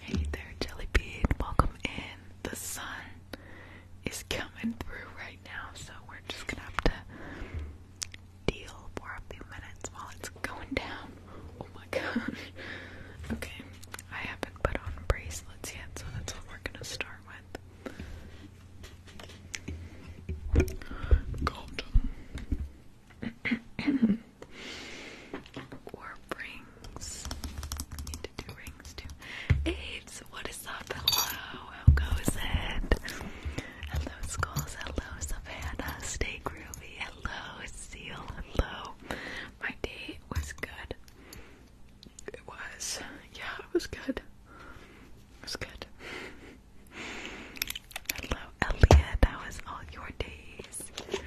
Hey there, Jelly Bean. Welcome in. The sun is coming through right now, so we're just gonna have to deal for a few minutes while it's going down. Oh my gosh. Okay, I haven't put on bracelets yet, so that's what we're gonna start with. Golden. Or rings. need to do rings too. AIDS, what is up? Hello, how goes it? Hello, Skulls. Hello, Savannah. Stay groovy. Hello, Seal. Hello. My day was good. It was. Yeah, it was good. It was good. Hello, Elliot. was all your days?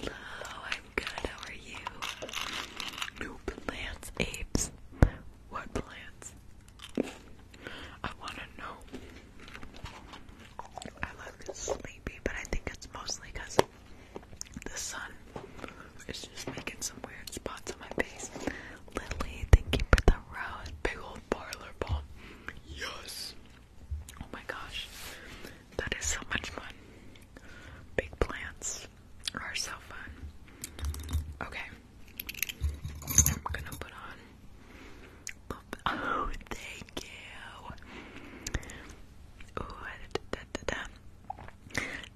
Hello, I'm good. How are you? New plants, apes. What plants? I want to know. I look sleepy, but I think it's mostly because the sun is just making some weird spots on my face. Lily, thank you the road. Big old parlor ball. Yes. Oh my gosh, that is so much fun. Big plants are so fun. Okay, I'm gonna put on. Oh, thank you. Ooh,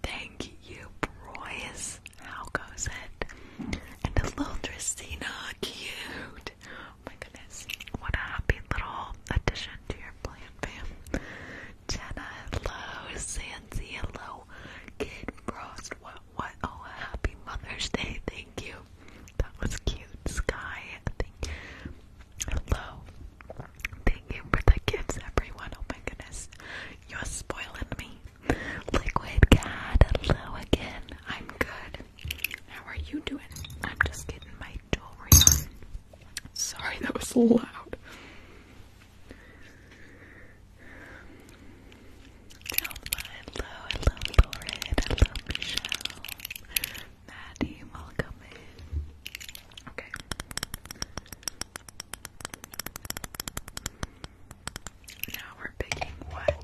Thank you, Broyce. How goes it? And a little Dracena, cute. Oh my goodness. What a happy little addition to your plan, fam. Jenna, hello. Sansi, hello. Kid Frost, what, what? Oh, happy Mother's Day. Thank you. That was cute. Sky, Hello. Thank you for the gifts, everyone. Oh my goodness. You're spoiling me. Liquid Cat, hello again. I'm good. How are you doing? I'm just getting my jewelry on. Sorry, that was loud. Delma, hello, hello, Lauren, hello, Michelle. Maddie, welcome Okay. Now we're picking what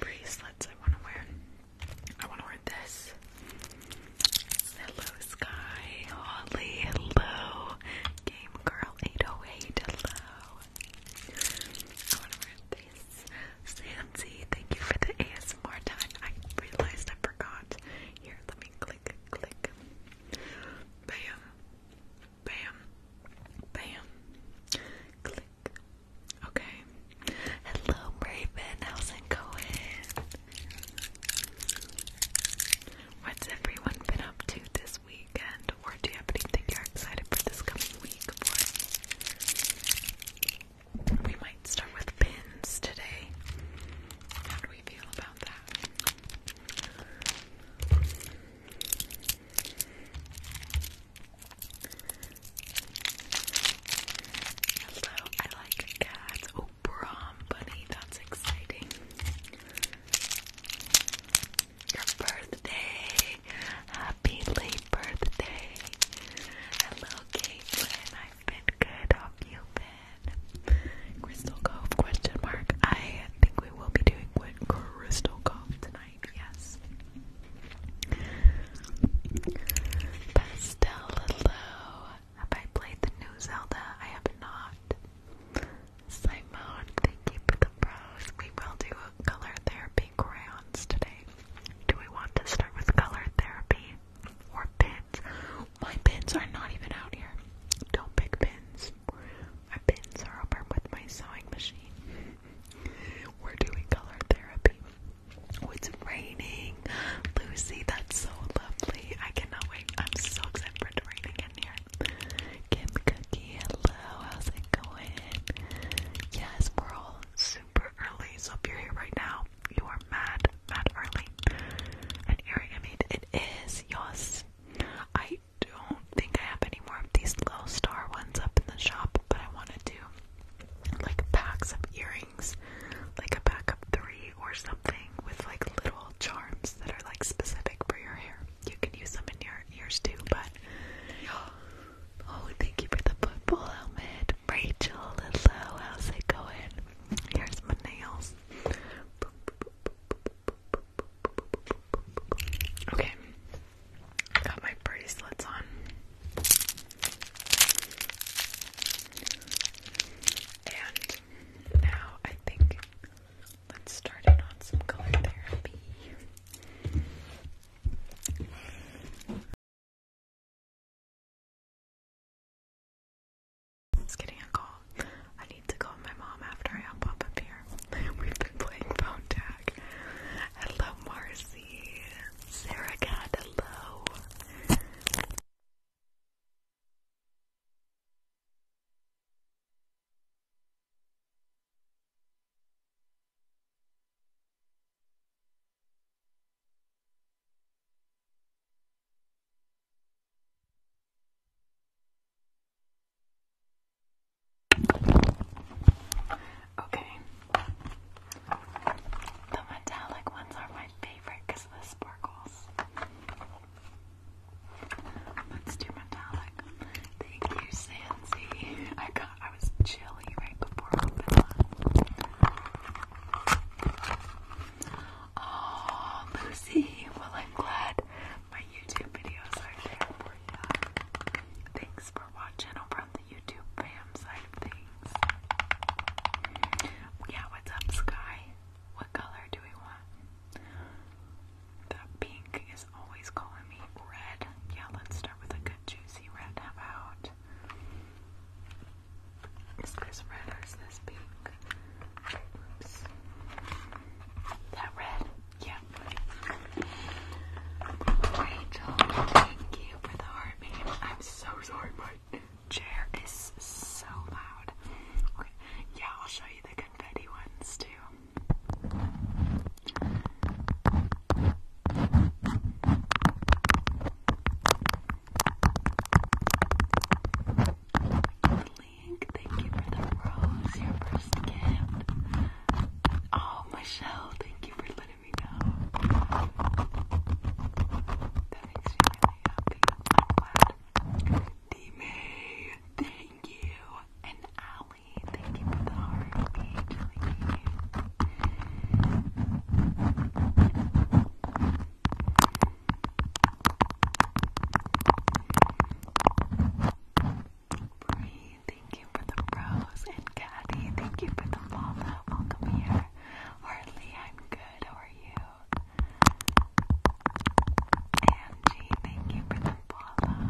bracelets I want to wear. I want to wear this. Hello, Sky. Holly. Hello. Game Girl 808. Hello. I want to wear this. Sansi, thank you for the ASMR time. I realized I forgot. Here, let me click, click. Bam. Bam. Bam. Click, Okay. Hello, Raven. How's it What's everyone been up to this weekend? Or do you have anything you're excited for this coming week for? We might start with pins today. How do we feel about that? Hello, I like cats. Oh, prom bunny, that's exciting. Your birthday. Happy late birthday. Hello, Caitlin. I've been good. have you been? Crystal Cove question mark. I think we will be doing Crystal Cove tonight, yes. Pastel, hello. Have I played the new Zelda? I have not. Simone, thank you for the pros. We will do color therapy crayons today. Do we want to start with color therapy or pins? My pins are not even out here. Don't pick pins. My pins are over with my sewing machine. We're doing color therapy. Oh, it's raining. Lucy, that's so lovely. I cannot wait. I'm so excited for it to rain again here. Kim Cookie, hello. How's it going? Yes, we're all super early. So if you're here right now, you are mad, mad early. And here I mean, it is. Yes. I don't think I have any more of these little star ones up in the shop but I want to do like packs of earrings, like a pack of three or something with like little charms that are like specific for your hair. You can use them in your ears too, but oh, thank you for the football helmet, Rachel. Hello, how's it going? Here's my nails. Okay, got my bracelets on. And now I think let's start in on some color therapy. It's getting a call. I need to call my mom after I pop up here. We've been playing phone tag. Hello, Mars see. Sarah got hello. Okay. The metallic ones are my favorite because of the sparkles. Let's do metallic. Thank you, Sansi. I got I was chilly right before Oh Lucy, well I'm glad my YouTube videos are there for you. Thanks for watching over yeah, what's up, Sky? What color do we want? That pink is always calling me red. Yeah, let's start with a good juicy red. How about? this red or this pink? Oops. That red? Yeah. Rachel, thank you for the heart, I'm so sorry, Mike chair is so loud. Yeah, I'll show you the confetti ones too. Link, thank you for the rose, your first gift. Oh, Michelle, thank you for letting to thank you. And Allie, thank you for the heart. Bree, thank you for the rose. And Caddy, thank you for the follow. Welcome here. Hardly, I'm good. How are you? Angie, thank you for the Welcome.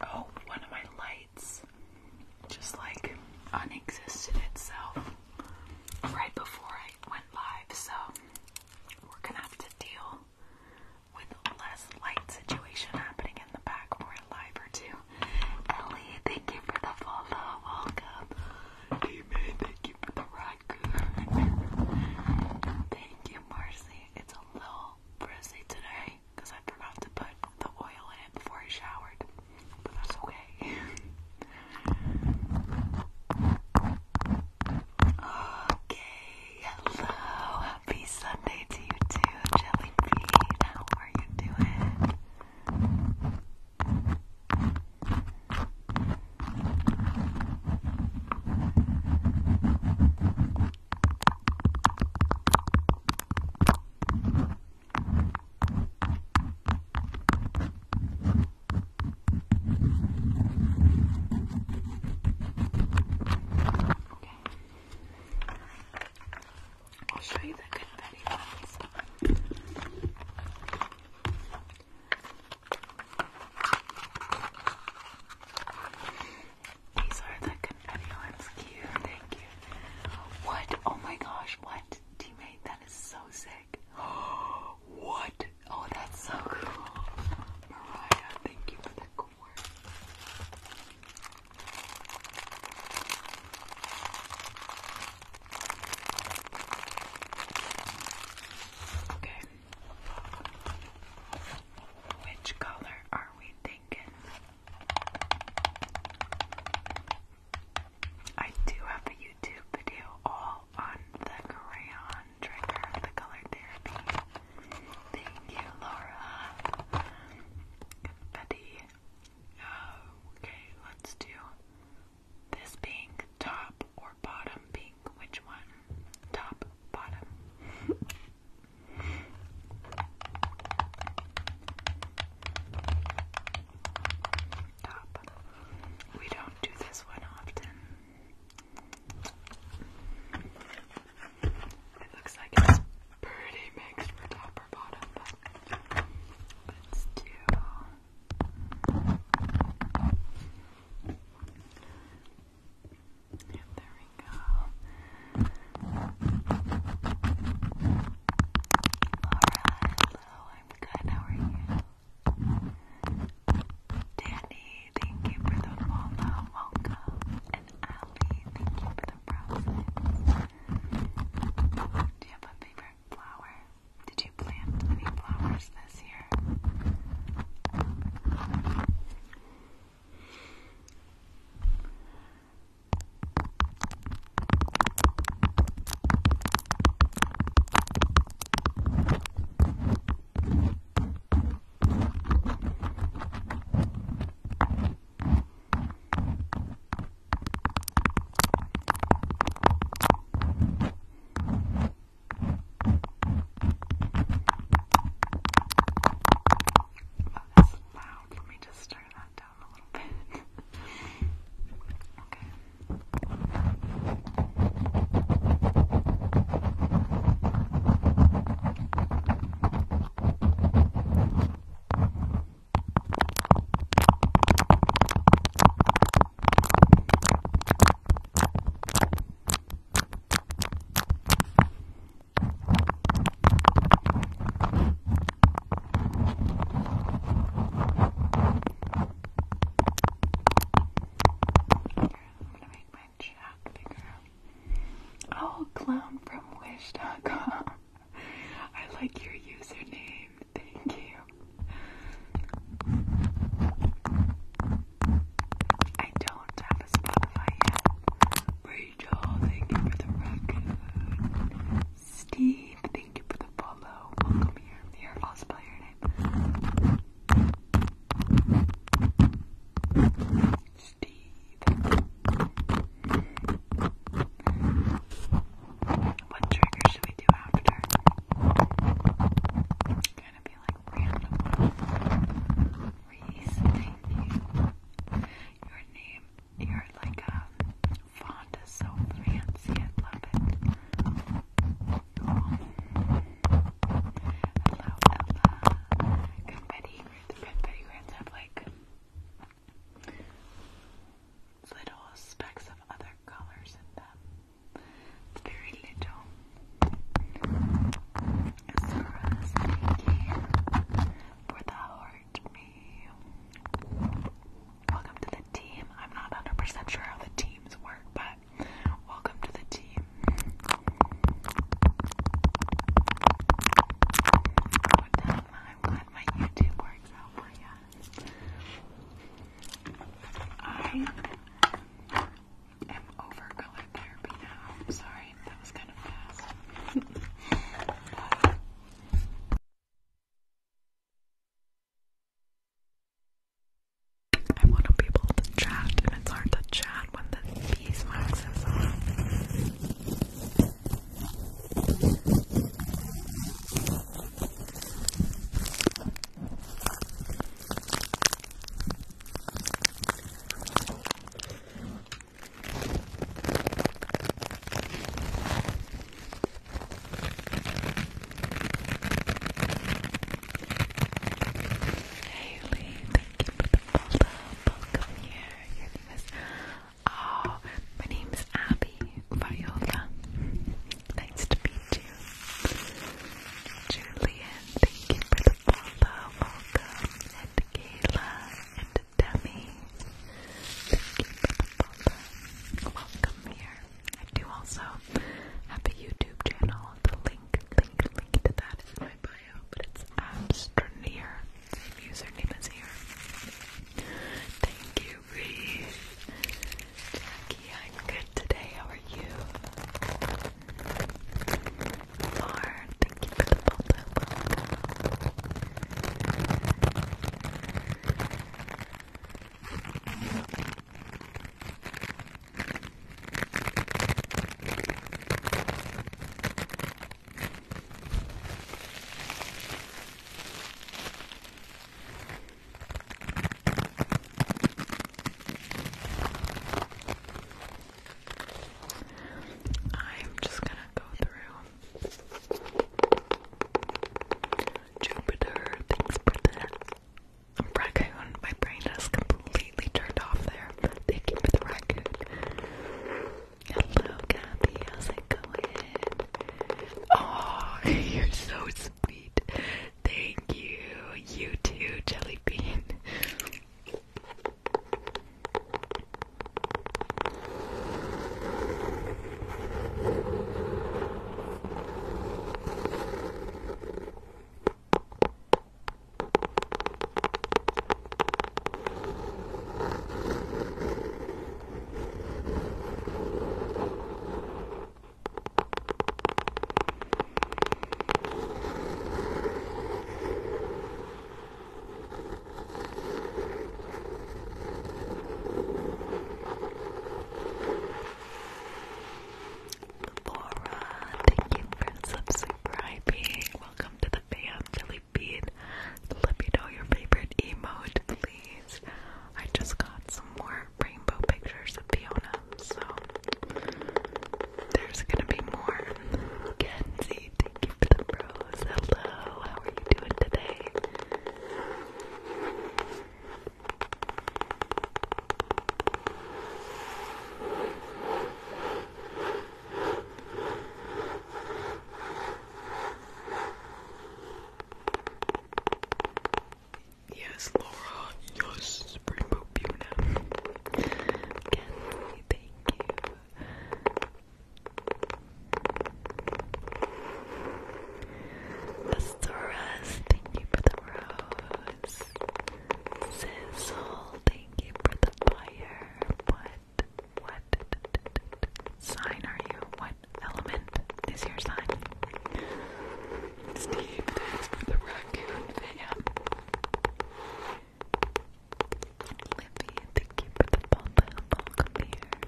Oh, one of my lights just like unexisted itself right before I went live, so we're gonna have to deal with less light situation happening in the back for a live or two. Ellie, thank you for the follow. Welcome. Hey man, thank you for the rocker. thank you, Marcy. It's a little frizzy today I forgot to put the oil in it before I showered, but that's okay. okay, hello. Happy Sunday to you too, Jelly Bean. How are you doing? I'll show you the confetti one this time. These are the confetti Cute, thank you. What? Oh my gosh, what? Teammate, that is so sick. what? Oh, that's so cool. Mariah, thank you for the core. Okay. Which color are we thinking? I do have a YouTube video all on the crayon trigger, the color therapy. Thank you, Laura. Betty. Oh, okay, let's do this pink, top or bottom pink? Which one? Top, bottom. top. We don't do this one often. It looks like it's pretty mixed for top or bottom, but let's do there we go. Alright, hello, I'm good, how are you? Danny, thank you for the follow, welcome. And Allie, thank you for the process. Do you have a favorite flower? Did you plant any flowers this year? Oh, that's loud. Let me just turn that down a little bit. okay. Okay. Oh, clown from wish.com. I like your username. Thank you. I don't have a Spotify yet. Rachel, thank you for the record. Steve, thank you for the follow. Welcome here. Here, I'll spell your name. Steve. What trigger should we do after? Gonna be like random. Your name, your like um font is so fancy. I love it. Hello, Ella. Confetti. The confetti grants have like little specks of other colors in them. Um, it's very little. Scrubs, thank you for the heart, Welcome to the team. I'm not 100 sure how the teams work, but welcome to the team. I'm glad my YouTube works out for I am over color therapy now. sorry, that was kind of fast. I want to be able to chat, and it's to chat when the beeswax is on. Haley, thank you for the follow. Welcome here. Your name is Oh, my name Nice to meet you. Julian, thank you for the follow. Welcome. And Kayla and Demi. Thank you for the follow. Welcome here. I do also have a YouTube channel. The link, link, link to that is my bio, but it's Abstraneer. Same username as here. Thank you, Reese. Jackie, I'm good today. How are you? thank you for the follow. I'm just gonna go through Jupiter, things pretend. Raccoon, my brain has completely turned off there. Thank you for the raccoon. Hello, Gabby, how's it going? Oh, you're so sweet. Thank you. You too, Jelly Bean. Laura, thank you for subscribing. Welcome to the fam, Philly Let me know your favorite emote, please. I just got some more rainbow pictures of Fiona them, so there's gonna be more. Kenzie, thank you for the rose. Hello, how are you doing today? Yes, Laura. Yes, Springbook Buna. Kenzie, thank you. Astoras, thank you for the rose. Sizzle, thank you for the fire. What, what sign are you? What element is your sign? Steve, thanks for the raccoon fan. Libby, thank you for the papa. Welcome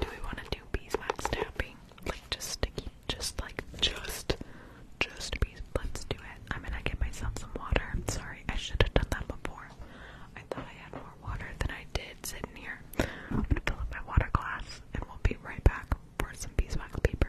Do we want to do beeswax tapping? Like just sticky, just like just, just bees. Let's do it. I'm gonna get myself some water. sorry, I should have done that before. I I had more water than I did sitting here. I'm gonna fill up my water glass and we'll be right back for some beeswax paper.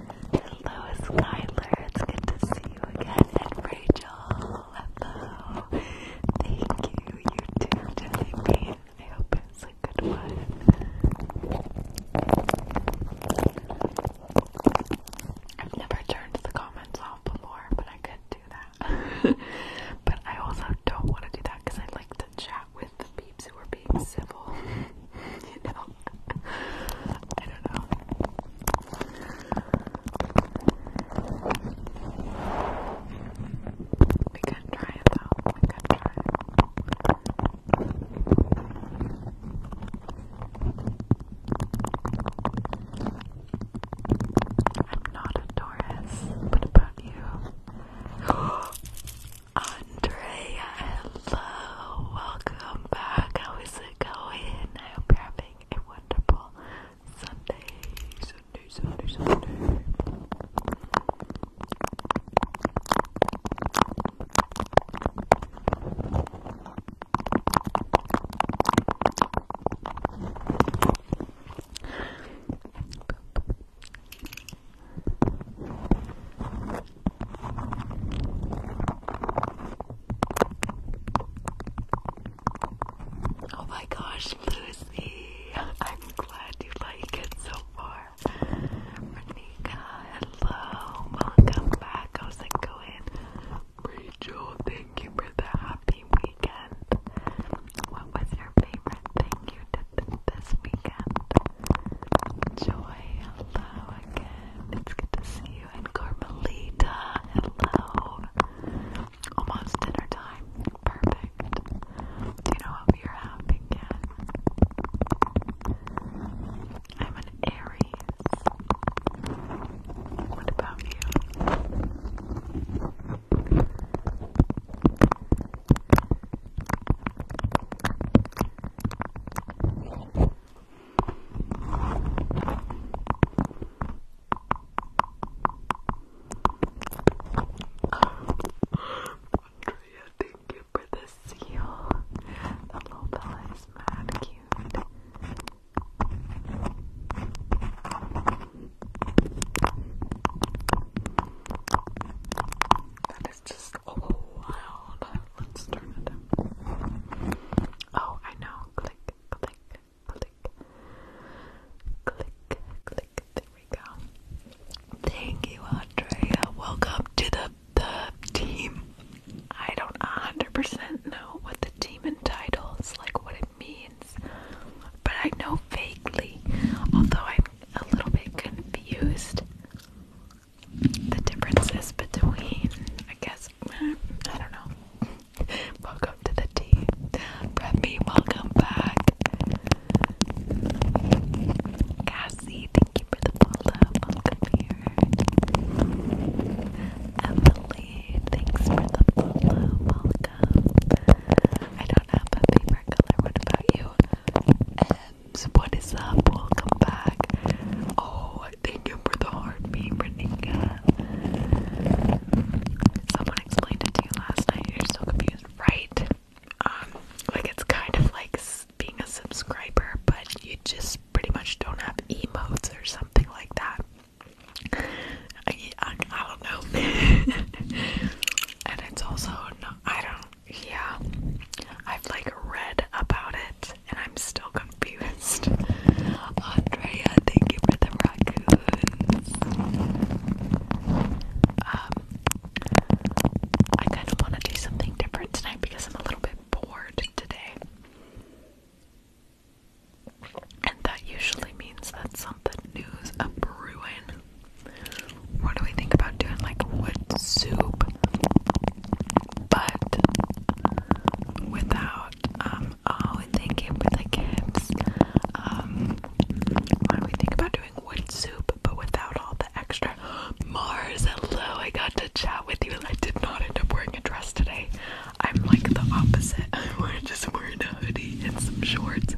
Hello, Skylar. It's good to see you again. And Rachel, hello. Thank you. You too, Jenny B. I hope it's a good one. I've never turned the comments off before, but I could do that. but I also don't want to do that because I like to chat with the peeps who are being civil you I don't know. We could try it though. We could try it. I'm not a Taurus. What about you? oh Andrea, hello, welcome back. How is it going? I hope having a wonderful Sunday, Sunday, Sunday, Sunday. Oh my gosh, Lucy! I'm glad you like it so far. Renika, hello, welcome back. How's it going? Rachel, thank you for the happy weekend. What was your favorite thing you did this weekend? Joy, hello again. It's good to see you. And Carmelita, hello. Almost dinner time. Perfect. Do you know what we are having yet? I'm an Aries. What about you? Andrea, thank you for the seal. The little fella is mad cute is just wild. Let's turn it down. Oh, I know. Click, click, click, click, click. There we go. Thank you, Andrea. Welcome to the the team. I don't 100% know what the team entitles, like what it means, but I know vaguely. Although I'm a little bit confused the differences between, I guess, I don't know. welcome to the tea. Preppy, welcome back. Cassie, thank you for the follow. Welcome here. Emily, thanks for the follow. Welcome. I don't have a favorite color. What about you? Ems, what is up? Welcome back. Oh, heart. Thank you for the heart being Someone explained it to you last night. You're so confused, right? Um, like it's kind of like being a subscriber, but you just pretty much don't have emotes or something like that. I, I don't know. and it's also no, I don't. Yeah, I've like read about it, and I'm still confused. Andrea, thank you for the raccoons. Um, I kind of want to do something different tonight because I'm a little bit bored today. And that usually means that something new's a brewing. What do we think about doing like wood soup? but without um oh thank the gifts um, why do we think about doing wood soup but without all the extra Mars hello I got to chat with you I did not end up wearing a dress today I'm like the opposite I'm just wearing a hoodie and some shorts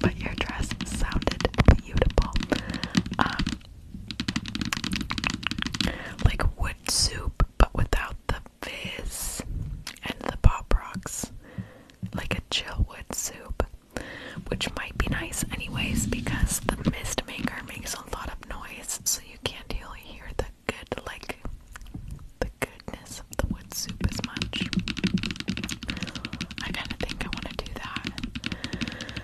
but your dress sounded beautiful um, like wood soup, but without the fizz and the pop rocks, like a chill wood soup, which might be nice anyways because the mist maker makes a lot of noise, so you can't really hear the good like the goodness of the wood soup as much. I kind of think I want to do that.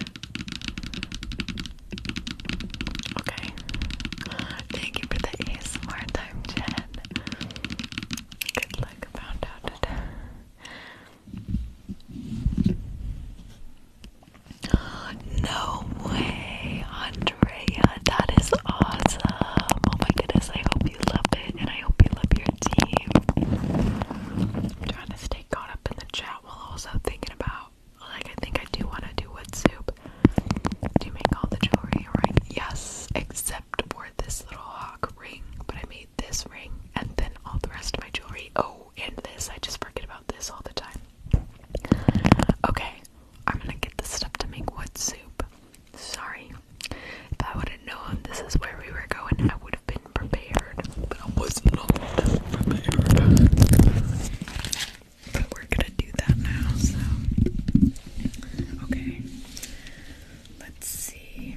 Okay. Thank you for the ASMR time, Jen. Good luck, found out it. No way, Andrea. That is awesome. Oh my goodness, I hope you love it and I hope you love your team. I'm trying to stay caught up in the chat while also thinking about like I think I do want to do wood soup. Do you make all the jewelry right? Yes, except for this little hawk ring. But I made this ring and then all the rest of my jewelry. Oh, and this. I just forget about this all the time. Okay, I'm gonna get the stuff to make wood soup. Sorry. If I would have known this is where we were going, I would have been prepared. But I was not prepared. But we're gonna do that now, so. Okay. Let's see.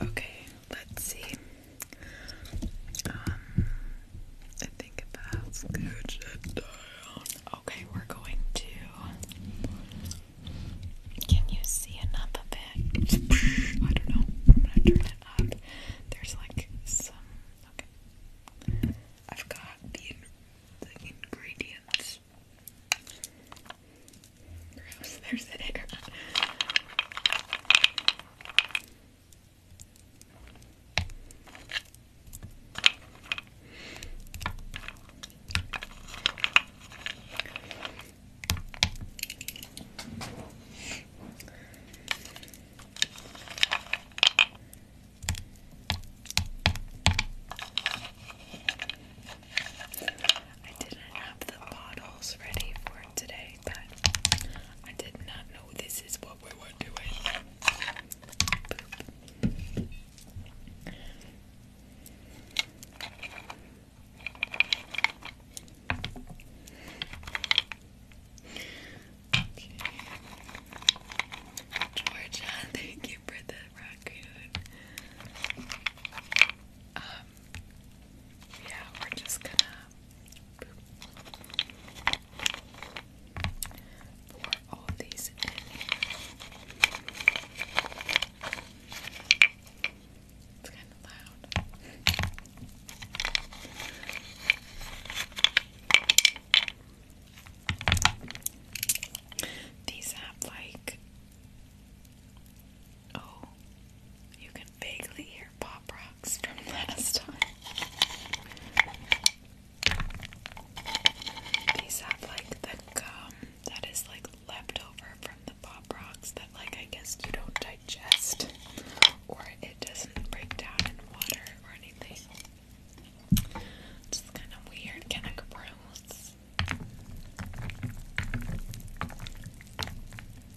Okay, let's see. Um, I think that's good. Okay, we're going to can you see enough of I don't know. I'm gonna turn it up. There's like some. Okay. I've got the, the ingredients. There's the I didn't have the bottles ready for today, but I did not know this is what we were doing. Georgia, thank you for the rock um, yeah, we're just gonna pour all these these have like oh, you can vaguely hear pop rocks from last time. These have like the gum that is like left from the Pop Rocks that, like, I guess you don't digest or it doesn't break down in water or anything. Just kind of weird, kind of gross.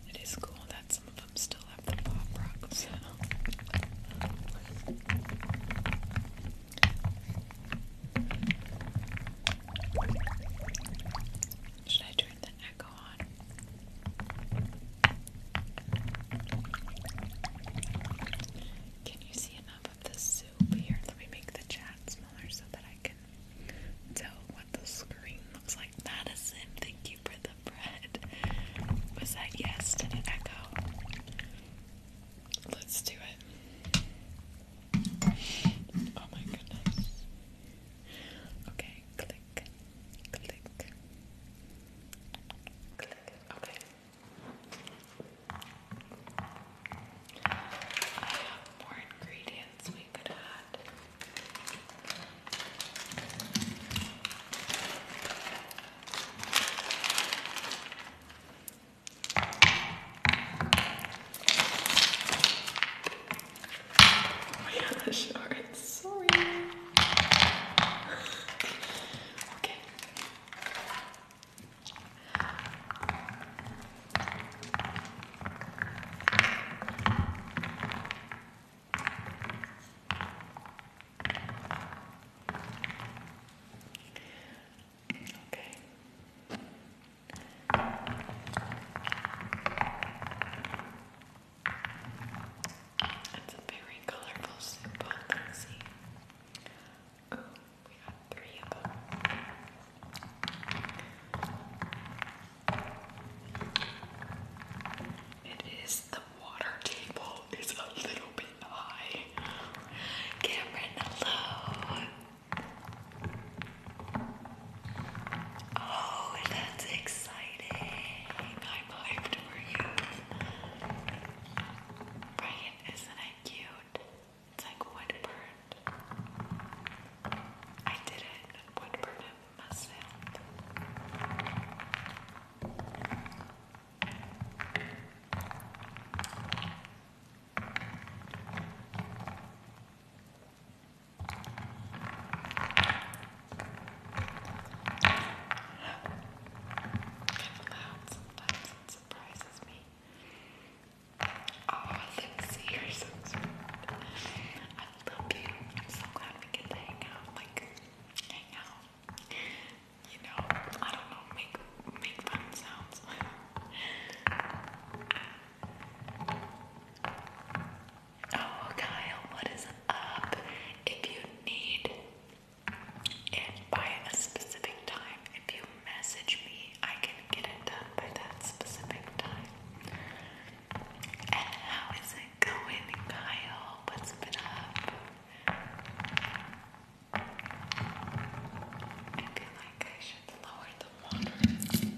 It is cool that some of them still have the Pop Rocks. Should I turn the echo can you see enough of the soup here? Let me make the chat smaller so that I can tell what the screen looks like. Madison, thank you for the bread. Was that yes? Did it echo? Let's do it. Oh my goodness. Okay, click, click, click. Okay. I have more ingredients we could add. Alright, sorry. Okay. Okay. It's a very colorful soup, let's see. we got three of It is the water table is a little bit high. Cameron, hello. Oh, that's exciting. I'm hyped for you. Brian, isn't it cute? It's like woodburned. I did it. Woodburned myself. Kind of loud sometimes, it surprises me. Oh, Lucy, you're so sweet. I love you. I'm so glad we get to hang out. Like, hang out. You know, I don't know, make make fun sounds. Oh, Kyle, what is up? If you need it by a specific time, if you message me, I can get it done by that specific time. And how is it going, Kyle? What's been up? I feel like I should lower the water.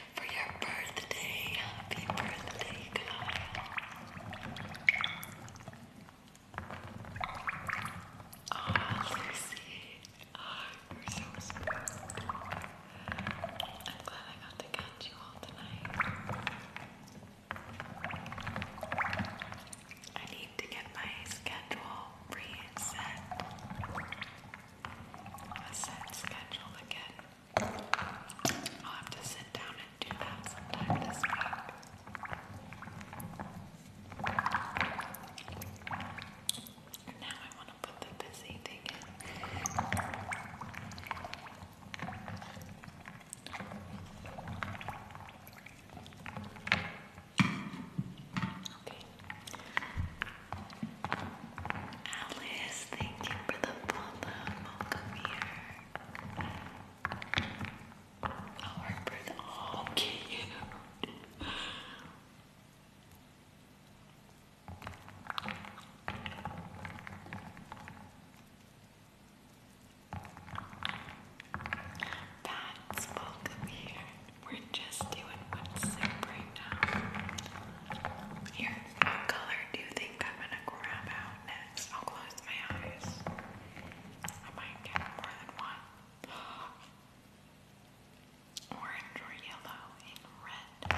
for your birthday. Happy birthday, Kyle. Oh, Lucy. you're so smart. I'm glad I got to catch you all tonight. I need to get my schedule reset. A set schedule again I'll have to sit down and do that sometime this week. now I want to put the busy thing in. Okay. Alice, thank you for the follow. Welcome here. Our breath. Oh, cute. That's welcome here. We're just doing one sip right what color do you think I'm gonna grab out next? I'll close my eyes. I might get more than one. Orange yellow and red.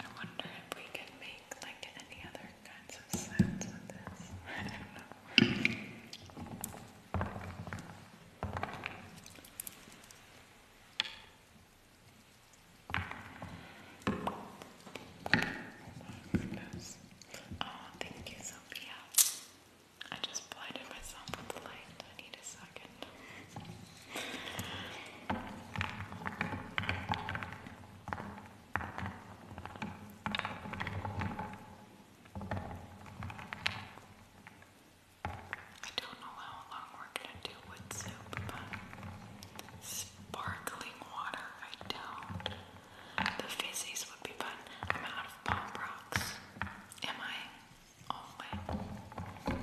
I wonder if we can make like any other kinds of sounds with this. Oh, goodness. oh, thank you, Sophia. I just blinded myself with light. I need a second. I don't know how long we're gonna do with soup, but sparkling water, I don't. The fizzies would be fun. I'm out of pop rocks. Am I? Oh,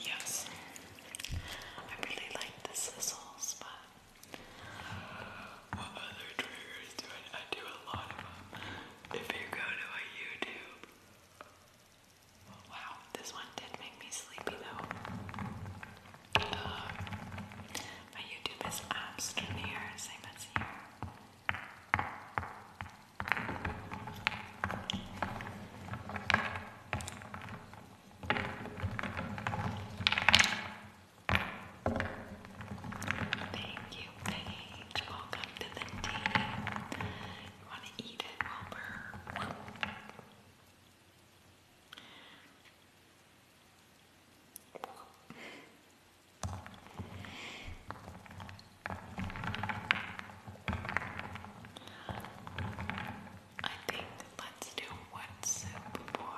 Yes, I really like the sizzles, but what other triggers do I, I do a lot of them. If you go to a YouTube, wow, this one did make me sleepy though. Uh, my YouTube is apps in same as here. Thank you, Paige. Welcome to the team. You want to eat it, Wilbur? I think let's do one sip for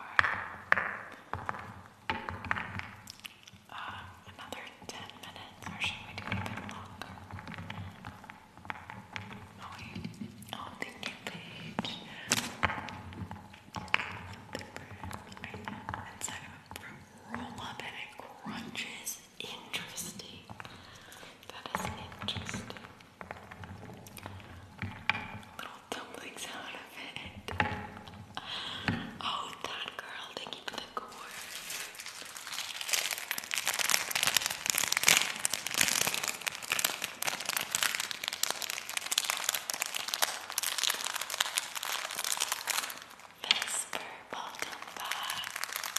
uh, another 10 minutes, or should we do a longer? Oh, oh, thank you, Paige roll up and it crunches. Interesting. That is interesting. Little dumplings out of it. Oh, that girl, thank you the core. Vesper, welcome back. Wilbur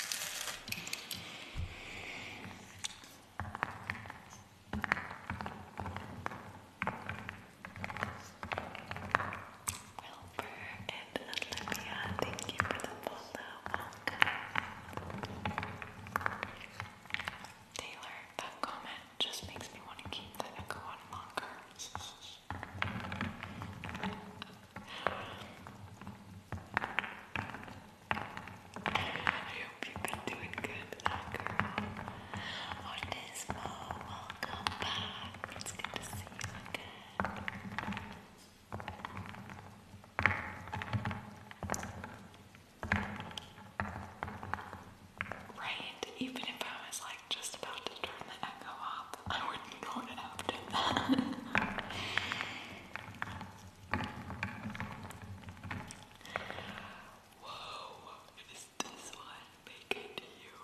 and Olivia, thank you for the follow. Taylor, that comment just makes me want to keep the echo on longer. I hope you've been doing good, that girl. Autismo, welcome back. It's good to see you again. Right, even if I was like just about to turn the echo off, I wouldn't go to have to that. Whoa, is this one making you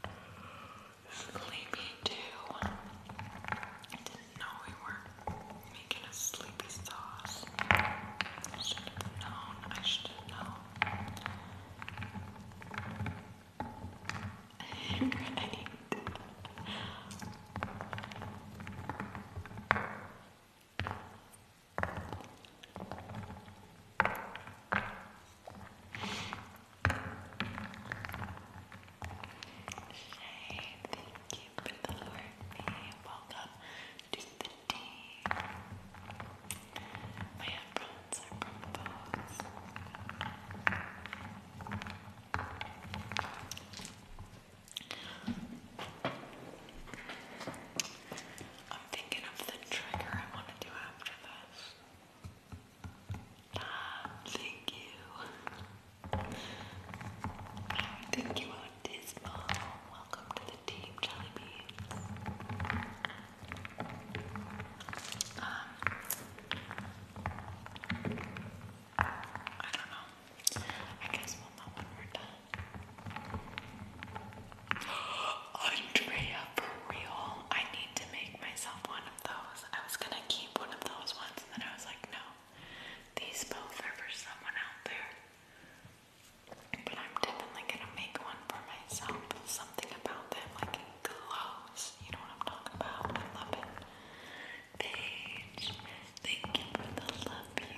extra sleepy too? did we were making a sleepy sauce. I should have known. I should have known. right. Shay, thank you for the heartbeat. Welcome to the team. My headphones are from I'm thinking of the trigger I want to do after this. Ah, thank you. Thank you, Autismo. Welcome to the team, Jellybean. Um, I don't know. I guess we'll know when we're done. Andrea, for real, I need to make myself one of those. I was gonna keep one of those ones, and then I was like, no, these both are for someone out there. But I'm definitely gonna make one for myself. Something about them, like it glows. You know what I'm talking about? I love it. Paige, thank you for the love you.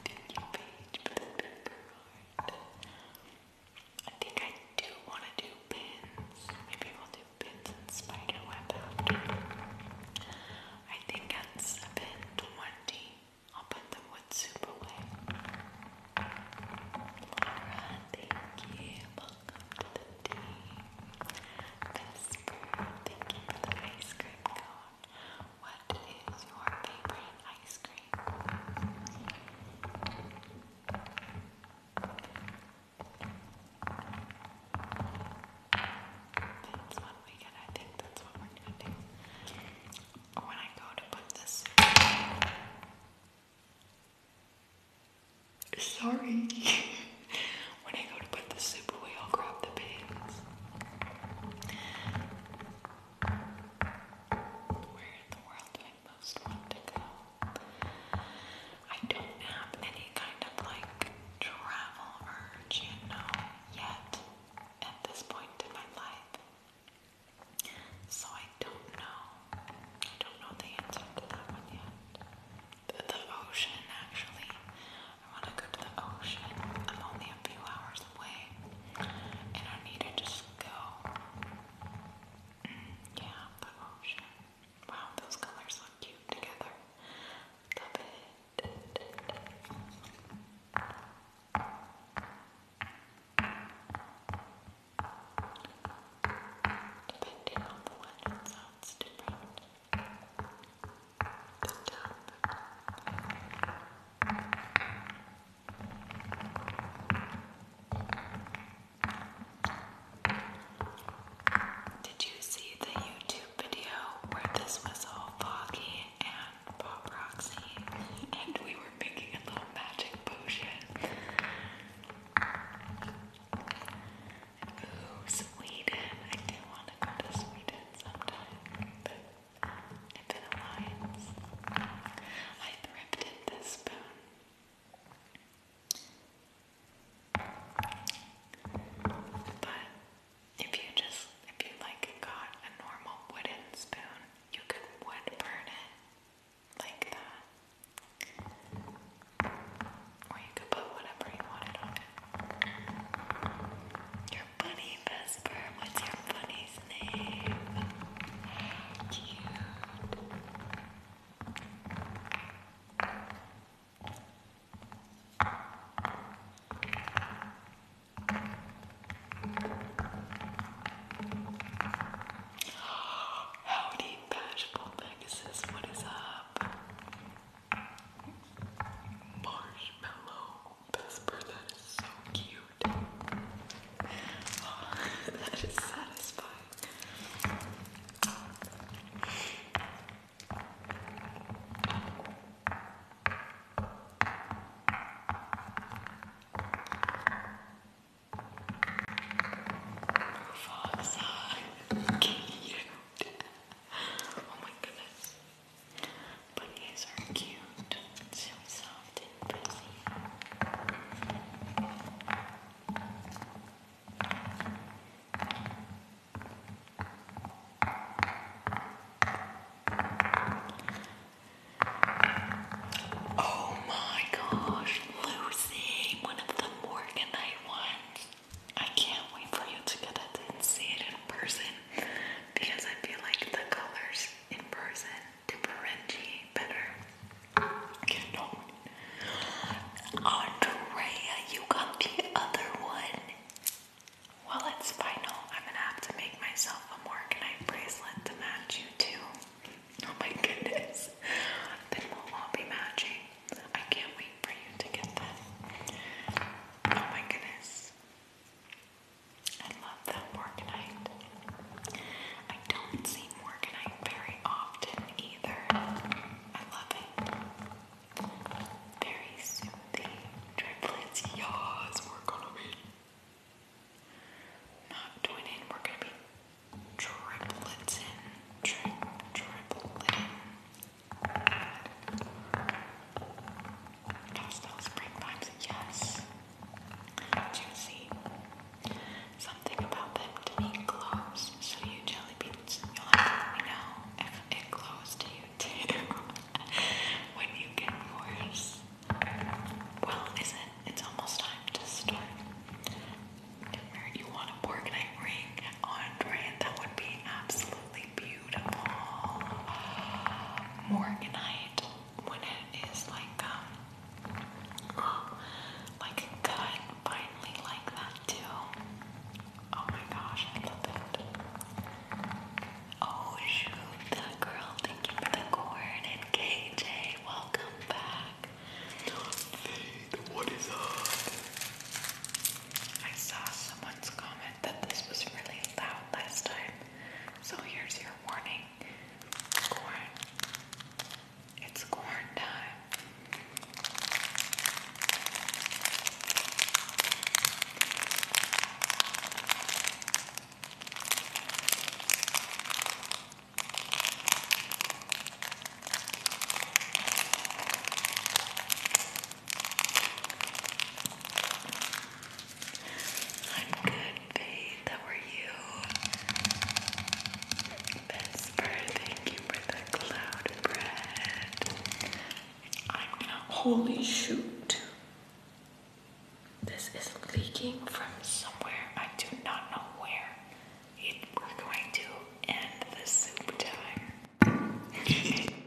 Thank you, Paige, for the big heart. I think I do want to do pins. Maybe we'll do pins and spiderweb I think it's pin 20. I'll put the wood soup away. Laura, thank you. Welcome to the team. Vesper, thank you for the ice cream cone. What is your favorite ice cream? That's weekend. I think that's what we're gonna do. When I go to put this. Sorry. when I go to put the soup away, i the pins. Where in the world do I most want to go? I don't have any kind of like travel urge, you know, yet at this point in my life. So I don't know. I don't know the answer to that one yet. The, ocean, actually. I want to go to the ocean. i only a few hours away and I need to just go. Mm, yeah, the ocean. Wow, those colors look cute together. Love it. Depending on the one, it different. The top. Um, did you see the YouTube video where this was all foggy and Pop Roxy and we were making a little magic potion? Sweden. I do want to go to Sweden sometime. It's an alliance. I thrifted this spoon. But if you just, if you like got a normal wooden spoon, you could wood burn it like that. Or you could put whatever you wanted on it bunny Vesper? What's your bunny's name? Howdy, Bashful Pegasus. What is up? Marshmallow. Vesper, that is so cute. Oh, that is satisfying. Move on Cute. Oh my goodness. Bunnies are cute, so soft and fuzzy. Oh my gosh, Lucy, one of the Morganite ones. I can't wait for you to get it and see it in person because I feel like the colors in person differentiate better. You Andrea, you got the other one. Well, it's final. I'm gonna have to make myself a Morganite bracelet to match you too. Oh my goodness. Then we'll all be matching. I can't wait for you to get that. Oh my goodness. I love that Morganite. I don't see Morganite very often either. I love it. Very soothing. Triplets, yes, we're gonna be. Not twin we're gonna be triplets in. Tri in. That smells spring vibes, yes juicy. Something about them didn't close, so you jelly beans, you'll have to let me know if it closed to you too when you get yours. Well, is it? It's almost time to start. You want a Borgnite ring on That would be absolutely beautiful. Morganite when it is like um oh, like cut finally like that too. Oh my gosh, I love it. Oh shoot, that girl, thank you for the corn and KJ, welcome back. what is up? I saw someone's comment that this was really loud last time. So here's your warning corn. It's corn time. I'm good, Faith. How are you? Vesper, thank you for the cloud bread. Holy shoot. This is leaking from somewhere. I do not know where. we're going to end the soup time.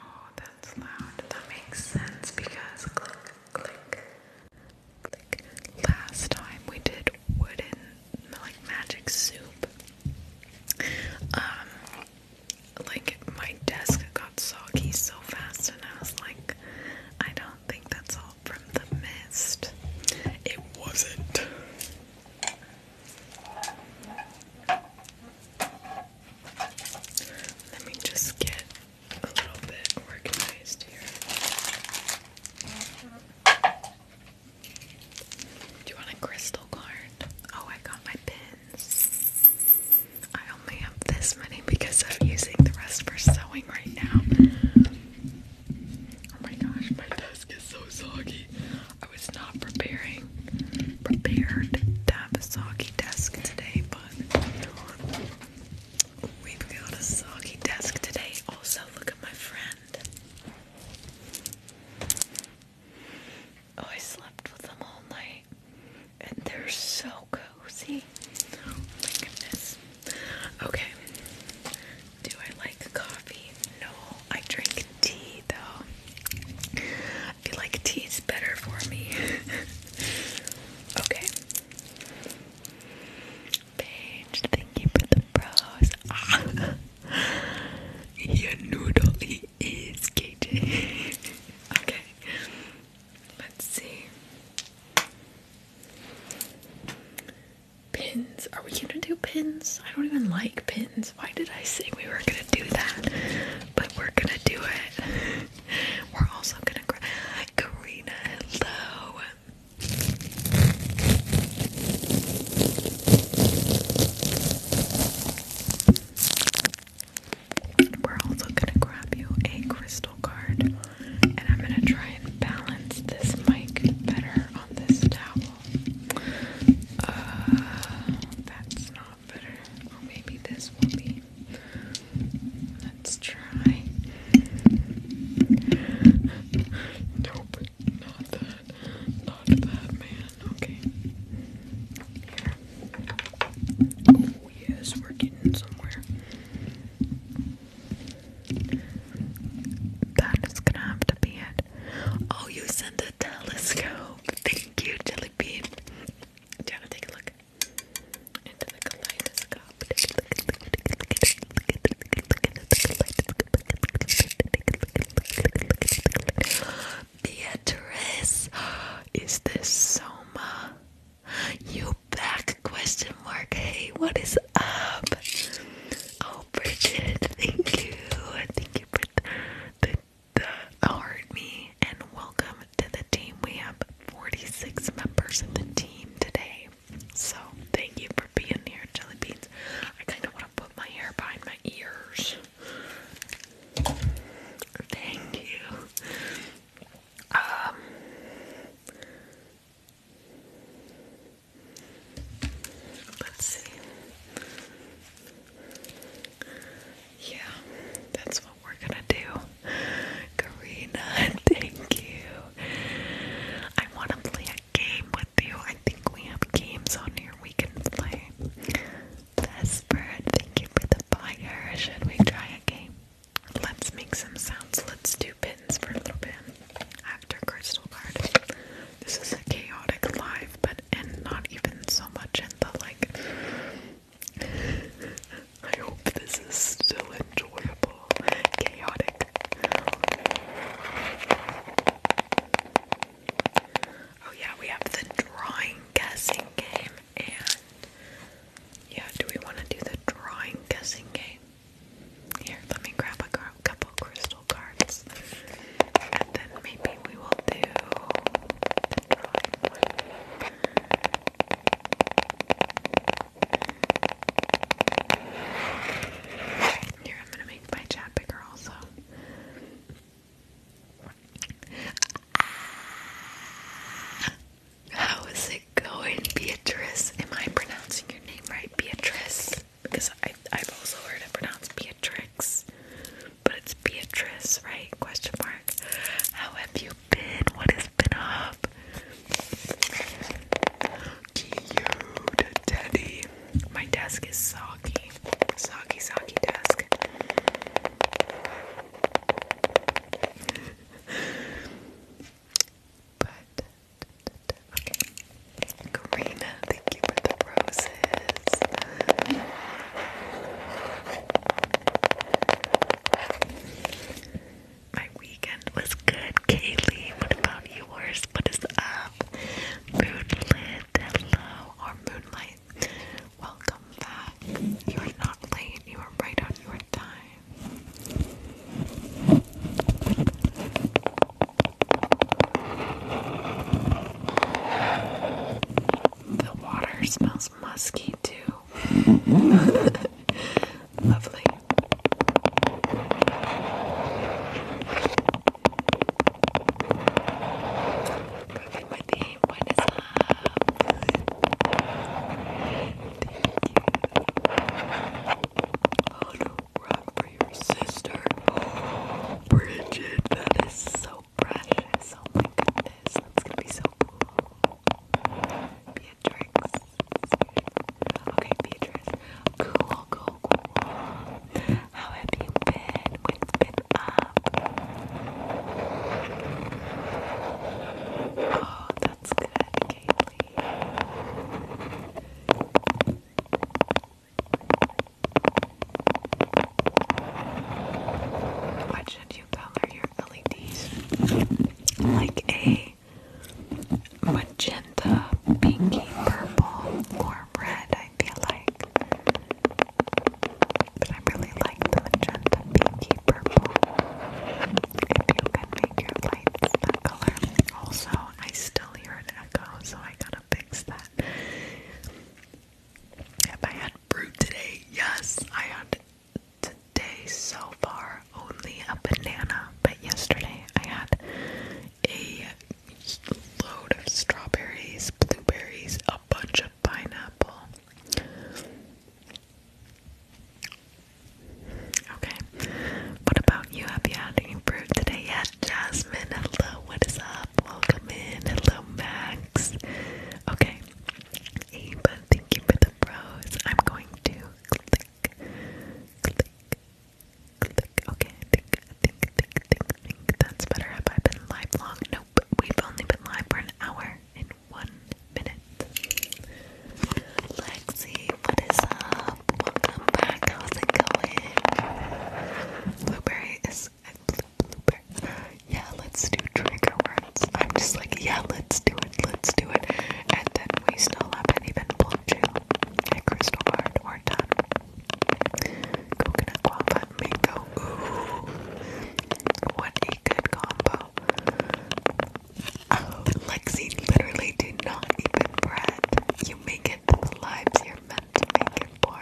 Oh, that's loud. That makes sense because Last time we did wooden like magic soup. Um, like my desk got soggy so fast, and I was like, I don't think that's all from the mist. It wasn't. Let me just get a little bit organized here. Do you want a crystal card? Oh, I got my pins. I only have this many because I'm using the rest for sewing right now. Oh my gosh, my desk is so soggy. I was not preparing prepared to have a soggy desk today, but we've got a soggy desk today. Also, look at my friend. Oh, I slept with them all night, and they're so cozy. Oh my goodness. Okay. Do I like coffee? No, I drink tea though. I feel like tea's better for me. okay. Paige, thank you for the bros. Your noodle is KJ. okay, let's see. Pins. Are we gonna do pins? I don't even like pins. Why did I say we were gonna do that? But we're gonna do it. we're also gonna. Karina, hello. We're also going to grab you a crystal card, and I'm going to try and balance this mic better on this towel. Uh, that's not better. maybe this will be. Let's try. Nope, not that. Not that Okay. Oh, yes, we're getting somewhere. That is gonna have to be it. Oh, you sent a telescope. Thank you, Jelly you want to take a look into the kaleidoscope? Beatrice, is this Soma? You back? Question mark. Hey, what is up? Oh, Bridget, thank you. Thank you for the, the, me and welcome to the team. We have 46 members in the team today. So, thank you for being here, Jelly Beans. I kind of want to put my hair behind my ears. Thank you. Um, let's see. Yeah, that's what we're gonna do. Karina, thank you. I wanna play game with you. I think we have games on here we can play. Desperate, thank you for the fire. Should we try a game? Let's make some sounds. Let's do pins for a little bit after Crystal Card. This is a chaotic live, but and not even so much in the like. I hope this is still enjoyable. Chaotic. Oh yeah, we have the drawing guessing game and yeah, do we want to do the drawing guessing game? Here, let me grab a couple crystal cards. And then maybe we will do Here, I'm gonna make my chat bigger also. How is it going, Beatrice? Am I pronouncing your name right, Beatrice? Because I, I've also heard it pronounced Beatrix, but it's Beatrice, right? Question mark. How have you been? What has been up? Cute teddy. My desk is soggy. Soggy, soggy desk. but, Karina, thank you for the roses. My weekend was good, Kaylee. What about yours? What is up? Moonlit, hello, moonlight. Welcome back. You are not late, you are right on your time. The water smells musky too. Lovely. Perfect, my team. What is up? Thank you. Oh, no, rock for your sister. Bridget, that is so precious. Oh my goodness, that's gonna be so cool. Beatrix. Okay, Beatrix. Cool, cool, cool. How have you been? What's been up? Oh, that's good, What should you color your LEDs? Like a magenta, pinky, purple, or red, I feel like. But I really like the magenta pinky purple. If you can make your lights that color. Also, I still hear an echo, so I gotta fix that. Have I had fruit today? Yes, I had today so far only a banana, but yesterday I had a load of strawberries, blueberries, a bunch of pineapple. Okay, what about you? Have you had any fruit today yet? Jasmine, hello, what is up? Welcome in, hello, Max. Okay, Ava, thank you for the pros. I'm going to click, click, Okay, I think, I think, think, think, that's better. Have I been live long? Nope, we've only been live for an hour and one minute. Lexi, what is up? Welcome back. How's it going? Blueberry is blueberry. Yeah, let's do trigger words. I'm just like, yeah, let's do it, let's do it. And then we still haven't even pulled you. Hey, Crystal Art, we're done. Coconut guava mango. Ooh. What a good combo. Oh, Lexi literally did not even bread. You make it the lives you're meant to make it for.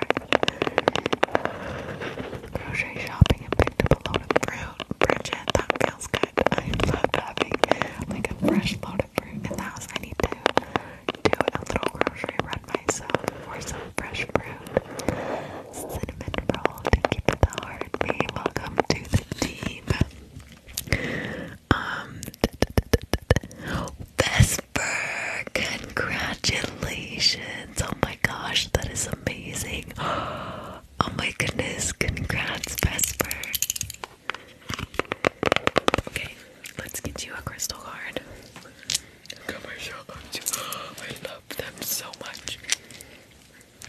Grocery shopping and picked up a load of fruit. Bridget, that feels good. I love having like a fresh load of fruit in the house. I need to to a little grocery run myself for some fresh fruit. Cinnamon roll, thank you for the heart. welcome to the team. Um, Vesper, congratulations! Oh my gosh, that is amazing. Oh my goodness, congrats, Vesper. Okay, let's get you a crystal card commercial oats. I love them so much.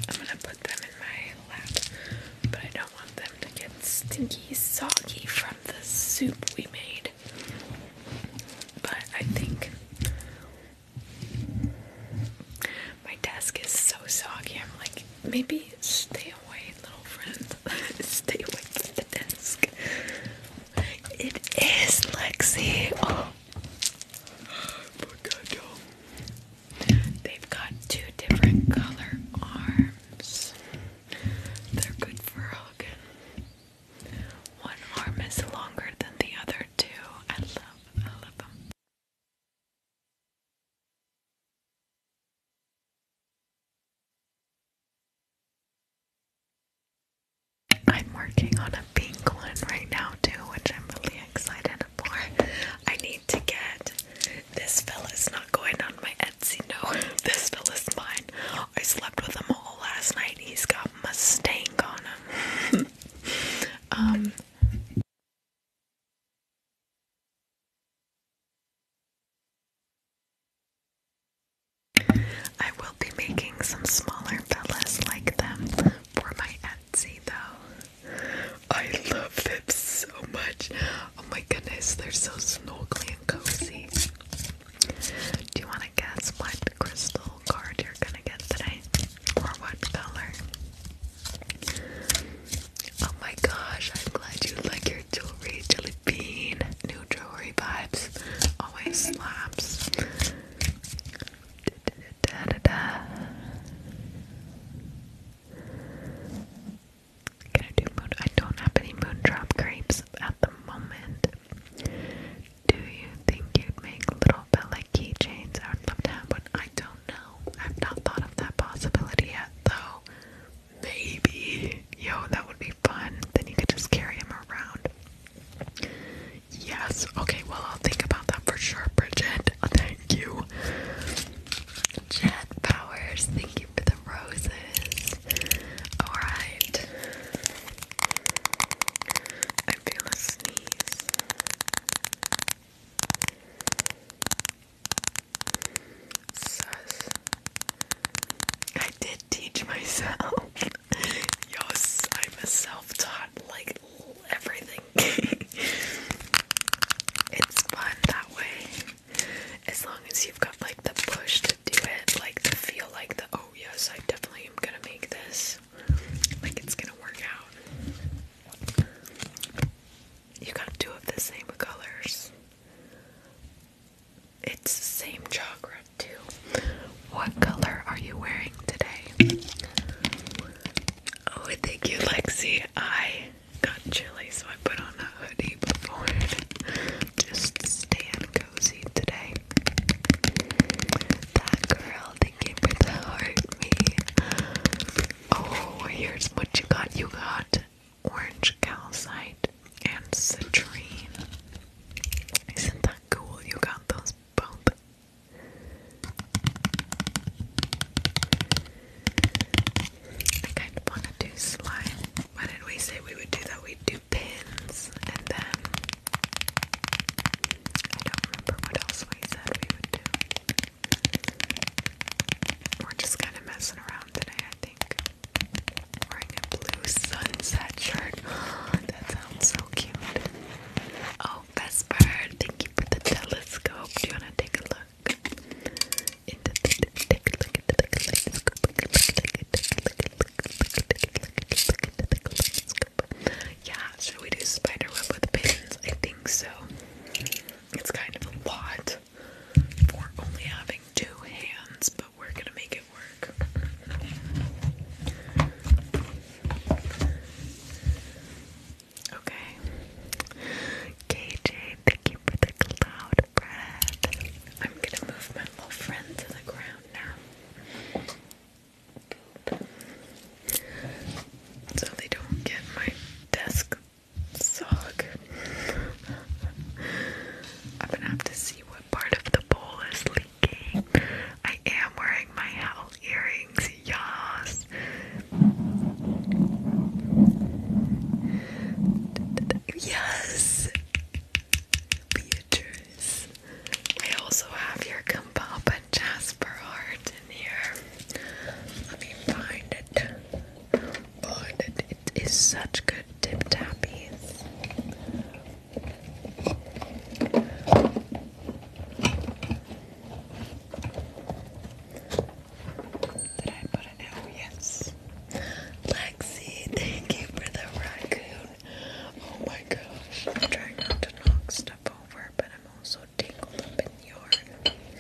I'm gonna put them in my lap, but I don't want them to get stinky, soggy from the soup we made. But I think my desk is so soggy. I'm like, maybe stay away, little friend. stay away from the desk. It is Lexi. Oh. They've got two different color arms. They're good for hugging. One arm is longer than the other two. I love, I love them. I'm working on a pink one right now too, which I'm really excited for. I need to get this fella's not going on my Etsy, no. This fella's mine. I slept with him all last night. He's got Mustang on him. um I will be making some smaller fellas like them for my Etsy though. I love them so much. Oh my goodness, they're so snuggly and cozy. Do you want to guess what crystal card you're gonna get today? Or what color? Oh my gosh, I'm glad you like your jewelry, Jelly Bean jewelry vibes always slaps. Gonna do moon. I don't have any moondrop grapes at the moment. Do you think you'd make little bit keychains? I would love to have one. I don't know. I've not thought of that possibility yet, though. Maybe. Yo, that would be fun. Then you could just carry him around. Yes. Okay, well, I'll think about that for sure, Bridget. Thank you. Jet Powers, thank you for the roses. Alright. I feel a sneeze. Sus. I did teach myself. yes, I'm a self-taught like everything. it's fun that way. As long as you've got like the push to do it, like to feel like the oh yes, I definitely am gonna make this. Like it's gonna work out. You got two of the same colors. It's the same chakra too. What color are you wearing today? Oh, thank you, Lexi. I got chilly, so I put on a hoodie before. Just staying cozy today. That girl, thank you me. Oh, here's what you got. You got orange calcite and citrine. Isn't that cool? You got those both. I kind of want to do Why did we say we would do that? We'd do pins and then I don't remember what else we said we would do. We're just kind of messing around today, I think. Wearing a blue sunset shirt. that sounds so cute. Oh, Vesper, thank you for the telescope. Do you wanna take a look? Yeah, should we do spiderweb with pins? I think so. It's kind of a lot for only having two hands, but we're gonna make Okay. KJ, thank you for the cloud bread. I'm gonna move my little friend to the ground now. So they don't get my desk sock. I'm gonna have to see what part of the bowl is leaking. I am wearing my owl earrings, Yes. Yes, Beatrice. I also have your Kumbaba Jasper heart in here. Let me find it. Oh, it is such good tip tappies. Did I put it out? Yes. Lexi, thank you for the raccoon. Oh my gosh. I'm trying not to knock stuff over, but I'm also tangled up in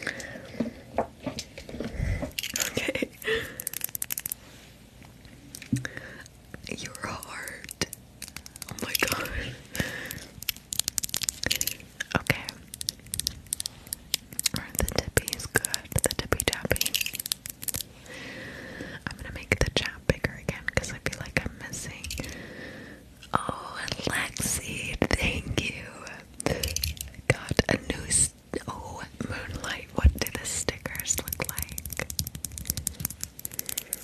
yarn. Okay your heart. Oh my god. Okay. the tippy is good. The tippy tappy. I'm gonna make the chat bigger again because I feel like I'm missing. Oh, Lexi, thank you. Got a new. oh, Moonlight, what do the stickers look like?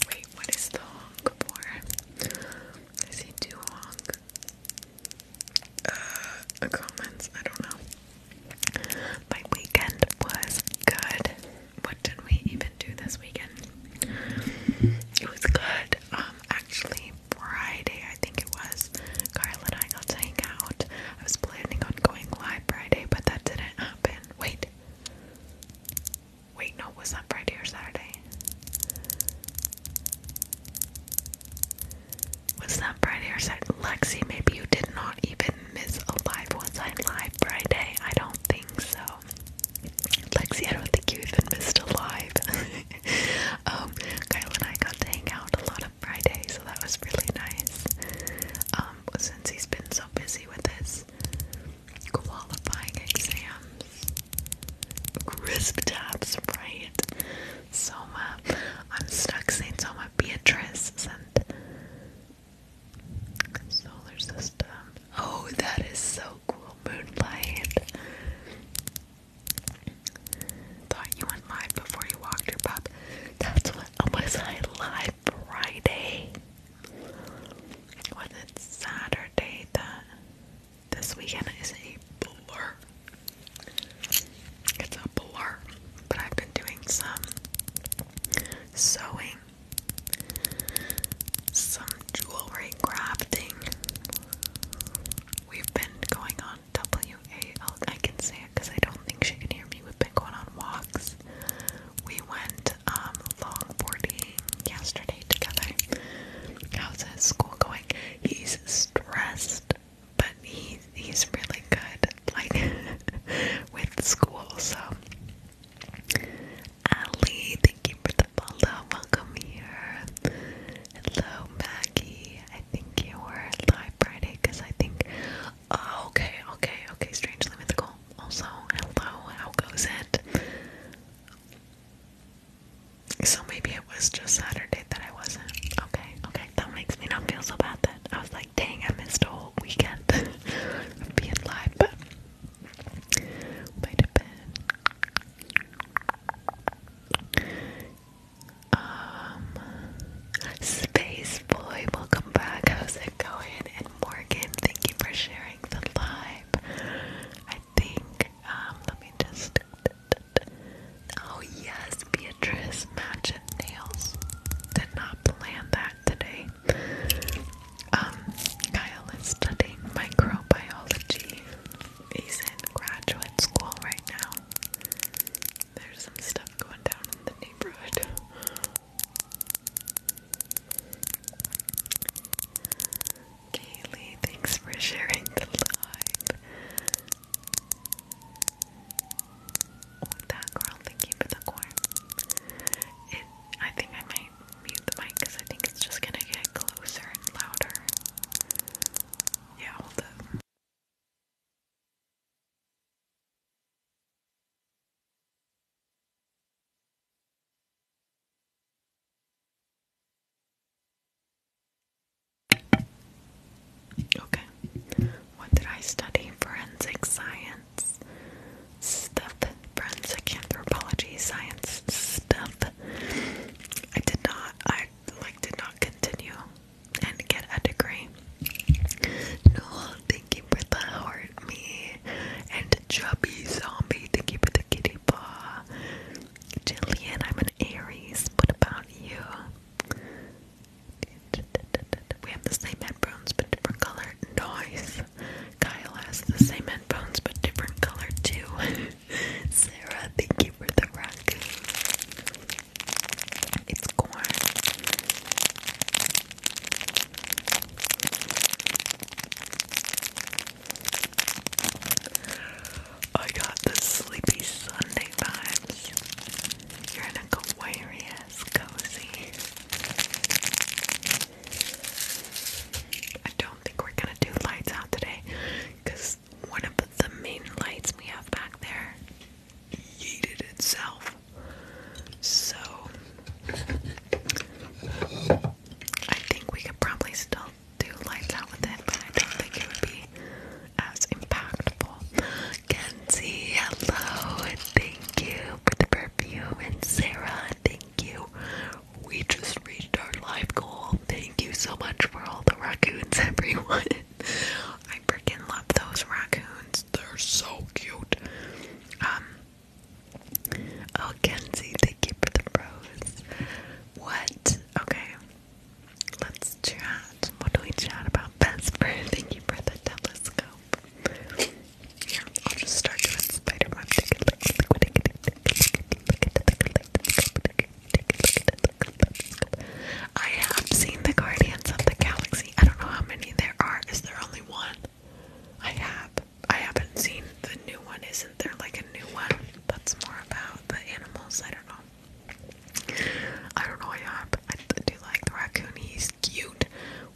Wait, what is the honk for? Does he do honk? Uh, comments, I don't know. My weekend was good. What did we even do this weekend? It was good. Um, actually, Friday, I think it was, Carla and I got to out. I was planning on going live Friday, but that didn't happen. Wait, Wait, no, was that Friday or Saturday? Was that Friday or Saturday? Lexi, maybe you did not even miss a live once I live Friday. I don't think so. Lexi, I don't think you even missed a live. um, Kyle and I got to hang out a lot on Friday, so that was really nice. Um, since he's been so busy with this qualifying exams. Crisp tabs, right? Soma. I'm stuck saying Soma. Beatrice sent solar system. Oh, that is so cool. Moonlight. Thought you went live before you walked your pup. That's what oh, was I live Friday. Was it Saturday that this weekend is a blur? It's a blur, but I've been doing some sewing, some jewelry crafting. We've been going on WAL. I can say it because I don't think she can hear me. We've been going on walks. We went um, longboarding yesterday together. How's his school going? He's stressed, but he he's really good, like with school. So, Ali, thank you for the follow. Welcome here. Hello, Maggie. I think you were live Friday because I think. Oh, okay, okay, okay. Strangely mythical also, hello, how goes it? So maybe it was just Saturday that I wasn't. Okay, okay, that makes me not feel so bad then. I was like, dang, I missed a whole weekend being live, but might have Um, Space welcome back. How's it going? And Morgan, thank you for sharing the live. I think, um, let me just. Oh, yes, Beatrice, match nails. Did not plan that today. Um, Kyle is studying microbiology. He's in graduate school right now. There's some stuff going down in the neighborhood. Kaylee, thanks for sharing the live. With that girl, thank you for the core. I think I might mute the mic because I think it's just gonna get closer and louder. Yeah, hold up. Okay. What did I study? Forensic science. Stuff. Forensic anthropology science stuff. I did not I like did not continue and get a degree. No, thank you the heart me and Chubby Zombie, thank you for the kitty paw. Jillian, I'm an Aries. What about you? We have the same headphones but different color. Nice. Kyle has the same headphones but different color too. Sarah, thank you for the raccoon. It's corn. I got the Sleepy Sunday vibes. You're an Aquarius, cozy. I don't think we're gonna do lights out today one of the main lights we have back there yeeted itself. So I think we could probably still do lights out with it, but I don't think it would be as impactful. Kenzie, hello, thank you for the perfume, and Sarah, thank you. We just reached our live goal. Thank you so much for all the raccoons, everyone. I freaking love those raccoons. They're so cute. Um, Oh, Kenzie, thank you for the rose. What? Okay. Let's chat. What do we chat about? Best friend, thank you for the telescope. Here, I'll just start doing spider web. I have seen the Guardians of the Galaxy. I don't know how many there are. Is there only one? I have. I haven't seen the new one. Isn't there like a new one that's more about the animals? I don't know. I don't know. I have. I do like the raccoon. He's cute.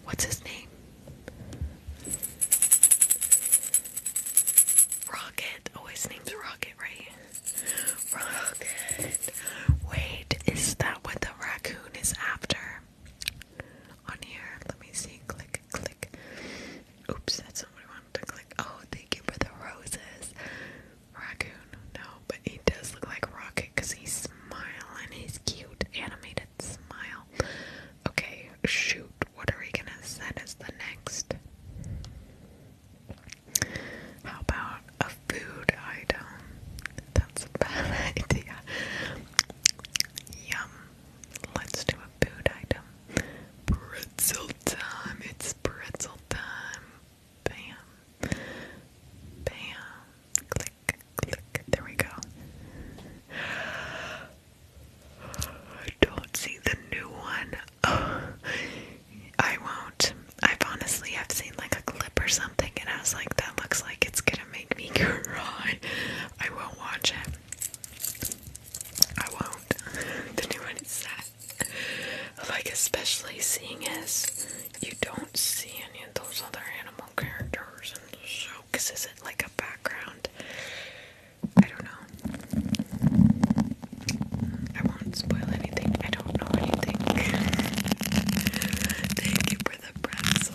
What's his name? Rocket. Oh, his name's Rocket, right? Rocket. Wait, is that what the raccoon is after? On here, let me see. Click click, Oops, that's not wanted to click. Oh, thank you for the roses. Raccoon, no, but he does look like Rocket because he's smiling. He's cute, animated smile. Okay, shoot, what are we gonna set as the next? How about a food item? That's a bad idea. Yum. Let's do a food item. Pretzel time. It's pretzel time. Bam. Bam. Click, click. There we go. I don't see the new one. I won't. I've honestly I've seen like a clip or something and I was like that looks like it's gonna make me cry. I won't watch it. I won't. the new one is sad. Like, especially seeing as you don't see any of those other animal characters in the show, is it like a background? I don't know. I won't spoil anything. I don't know anything. Thank you for the press.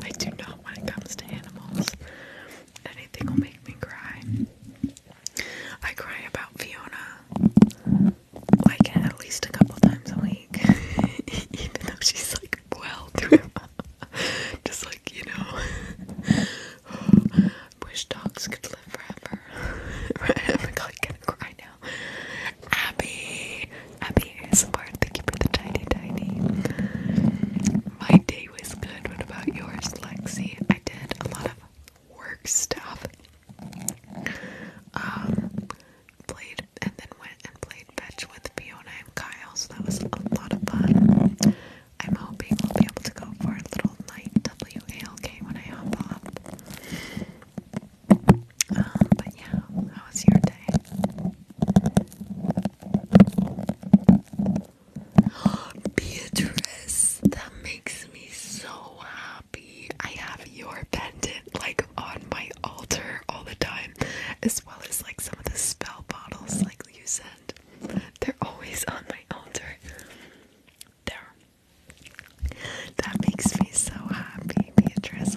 I do not when it comes to animals. Anything will make me cry. I cry about Fiona like at least a couple times a week, even though she's like well through. Just like you know, wish dogs could live forever. I'm like gonna cry now. Abby, Abby ASMR, thank you for the tiny, tiny. My day was good. What about yours, Lexi? I did a lot of work stuff. Um, played and then went and played fetch with Fiona and Kyle, so that was a lot of fun. I'm hoping we'll be able to go for a little night WALK when I hop off. Um, but yeah, how was your day? Beatrice, that makes me so happy. I have your pendant like on my altar all the time, as well as like some of the spell bottles like you send. They're always on my altar. There. That makes me so happy, Beatrice.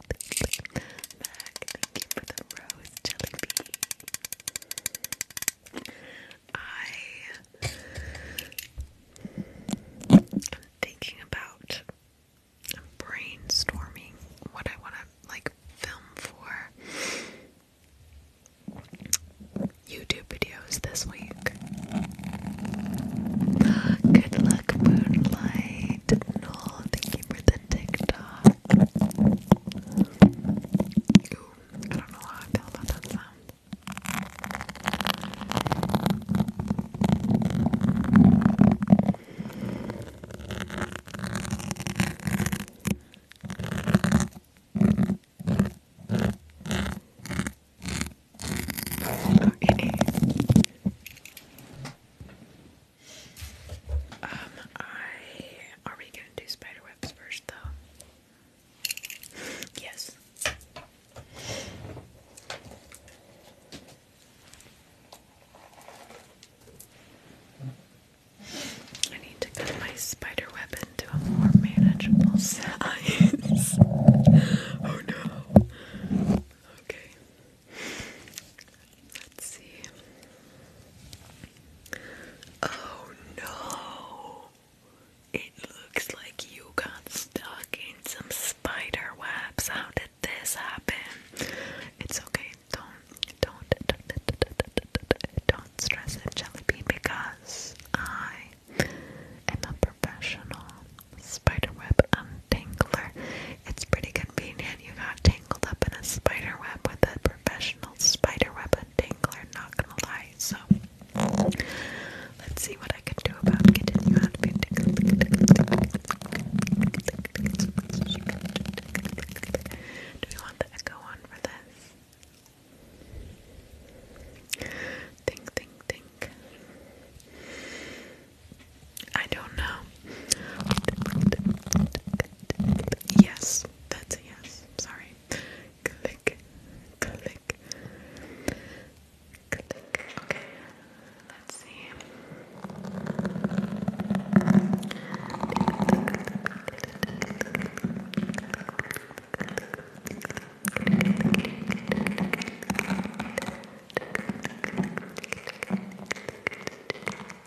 Mac, thank you for the rose jelly bean. I am thinking about I'm brainstorming what I want to like film for YouTube videos this week. Good luck, Moonlight. No, thank for the TikTok. Ooh, I don't know how I feel about that sound. Oh, um, I are we gonna do spider first though? Yes. I need to cut my spider web into a more manageable size. oh no. Okay. Let's see. Oh no! It looks like you got stuck in some spider webs. How did this happen? It's okay. Don't, don't, don't, don't stress it, Jellybean, because I am a professional spiderweb untangler. It's pretty convenient. You got tangled up in a spider web with a professional spider web entangler, not gonna lie. So let's see what I can do about getting you out of it. Do we want the echo on for this? Think, think, think. I don't know. Yes, that's a yes. Sorry. Click, click, Okay, let's see.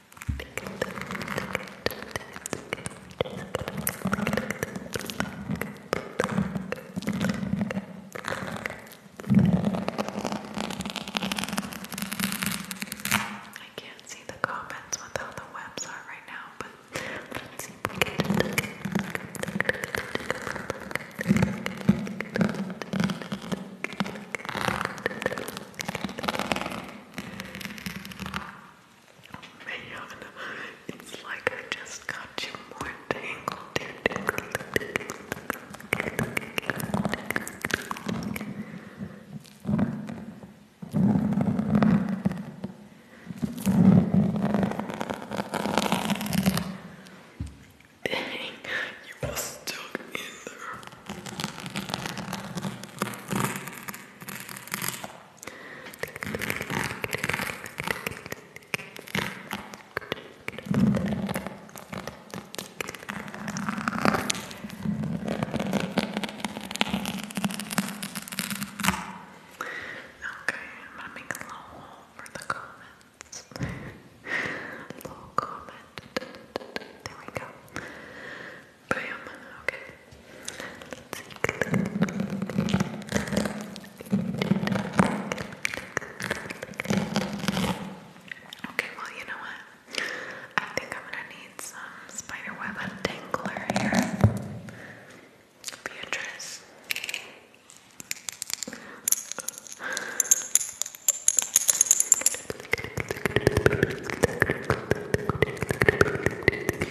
I can't see the comments with how the webs are right now, but let's see man, it's like I just got you more tangled. Dang, you were stuck in there. Okay, I'm gonna make a little hole for the comments. little comment. There we go. Okay. Okay, well, you know what? I think I'm gonna need some spiderweb untangler here. Beatrice.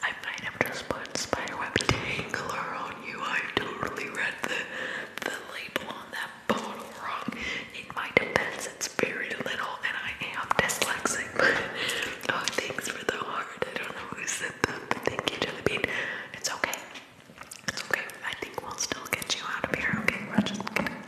I might have just put Spiderweb Tangler on you. I totally read the, the label on that bottle wrong. In my defense, it's very little and I am dyslexic. oh, thanks for the heart. I don't know who said that, thank you to the bean. It's okay. It's okay. I think we'll still get you out of here. Okay, we're just going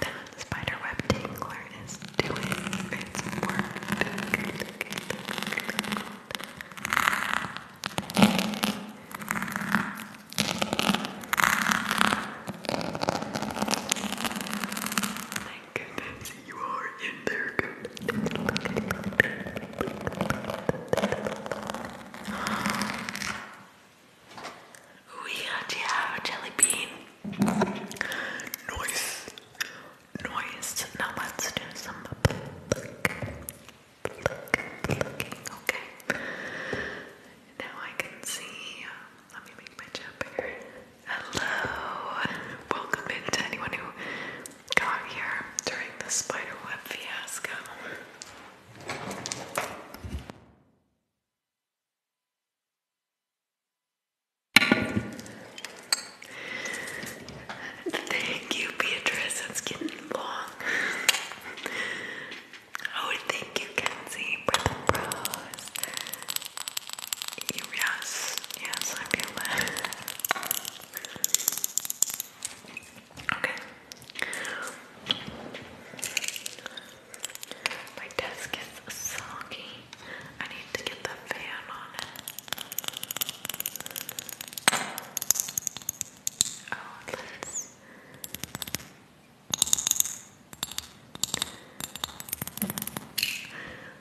That spiderweb tingler is doing its work. Thank goodness you are in there. Good. We actually have a jelly bean. Noise. Noise. Now let's do some Okay. Now I can see. Let me make my chat bigger. Hello. Welcome in to anyone who got here during the spiderweb fiasco. Thank you, Beatrice. It's getting long. Oh, thank you, Kenzie, for the pros. Yes, yes, I feel that. Okay. My desk is soggy. I need to get the fan on it. Oh, let's.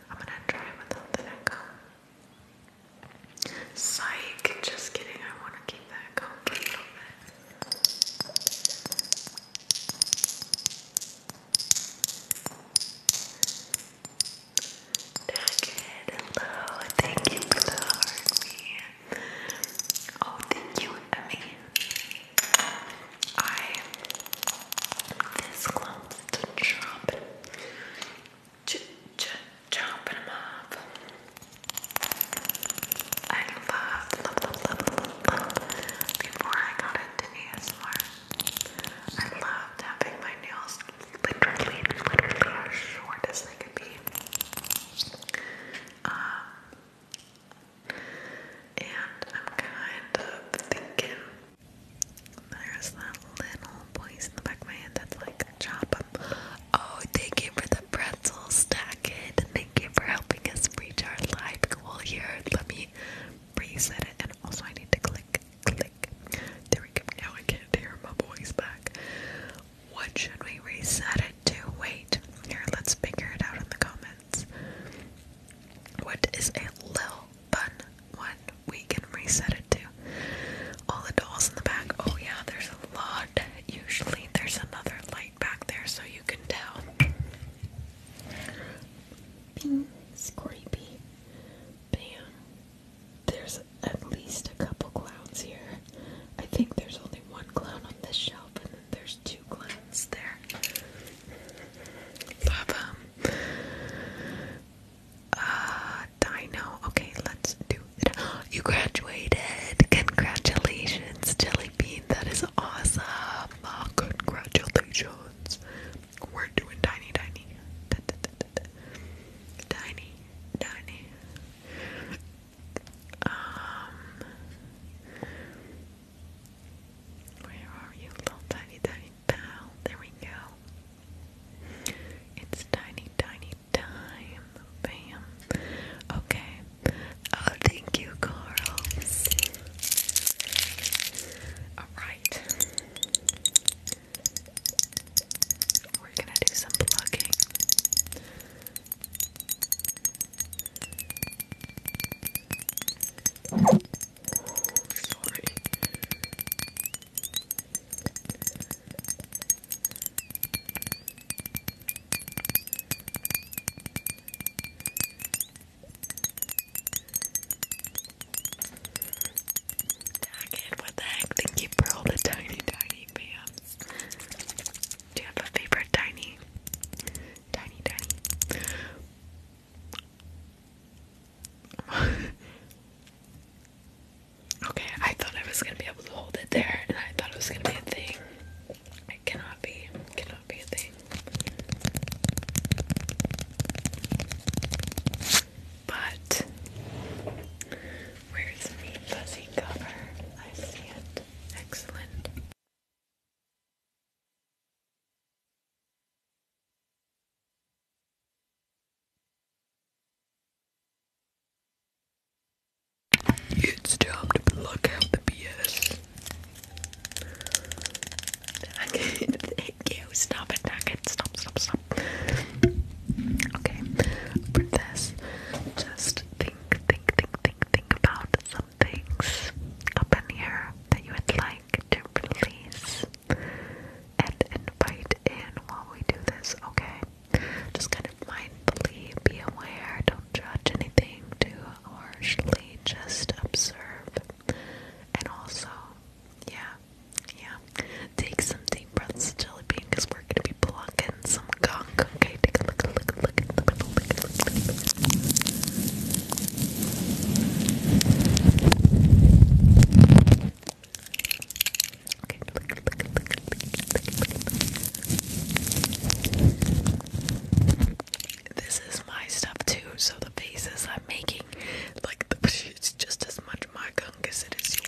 I'm gonna try without the echo. Psych, just kidding, I want to keep that going a little bit. Dagged, hello, thank you for the heart, me. Oh, thank you, Emmy. I, this clumps to drop ch ch chomping them off. I love, love, love, love, love, before I got into ASMR, I loved having my nails literally, as short as they could be. Um, and I'm kind of thinking there's that little voice in the back of my head that's like, um, oh, thank you for the pretzel stack it. Thank you for helping us reach our live goal here. Let me reset it and also I need to click click. There we go. Now I can't hear my voice back. What should we reset it to? Wait. Here, let's figure it out in the comments. What is a lil bun? one we can reset it good All the dolls in the back. Oh yeah, there's a lot. Usually there's another light back there so you can tell. scrapey. Bam. There's at least a couple clowns here. I think there's only one clown on this shelf and then there's two clowns there. Ba-bum. Uh, dino. Okay, let's do it. You graduated. Congratulations, Jelly Bean. That is awesome. Oh, congratulations. We're doing tiny, tiny. Tiny, tiny. Um, where are you, little tiny, tiny pal? There we go. It's tiny, tiny time. Bam. Okay. Oh, thank you, Carl. Alright. We're gonna do some plugging. sorry. Daggett, what the heck? Thank you all the tiny, tiny pants. Do you have a favorite tiny? Tiny, tiny. Okay, I thought I was gonna be able to hold it there, and I thought it was gonna be a thing. It cannot be. Cannot be a thing. But where's the fuzzy cover? I see it. Excellent. It's time to plug out the BS. Thank you. Stop it, Nugget. Stop, stop, stop. Okay, for this, just think, think, think, think, think about some things up in here that you would like to release and invite in while we do this, okay? Just kind of mindfully be aware, don't judge anything too harshly, just observe. And also, yeah, yeah, take some deep breaths, Jelly Bean, because we're going to be plucking some gunk. Okay, take a look, look, look, look, look, look, look, look. Okay. This is my stuff too, so the faces I'm making, like, it's just as much my gunk as it is yours.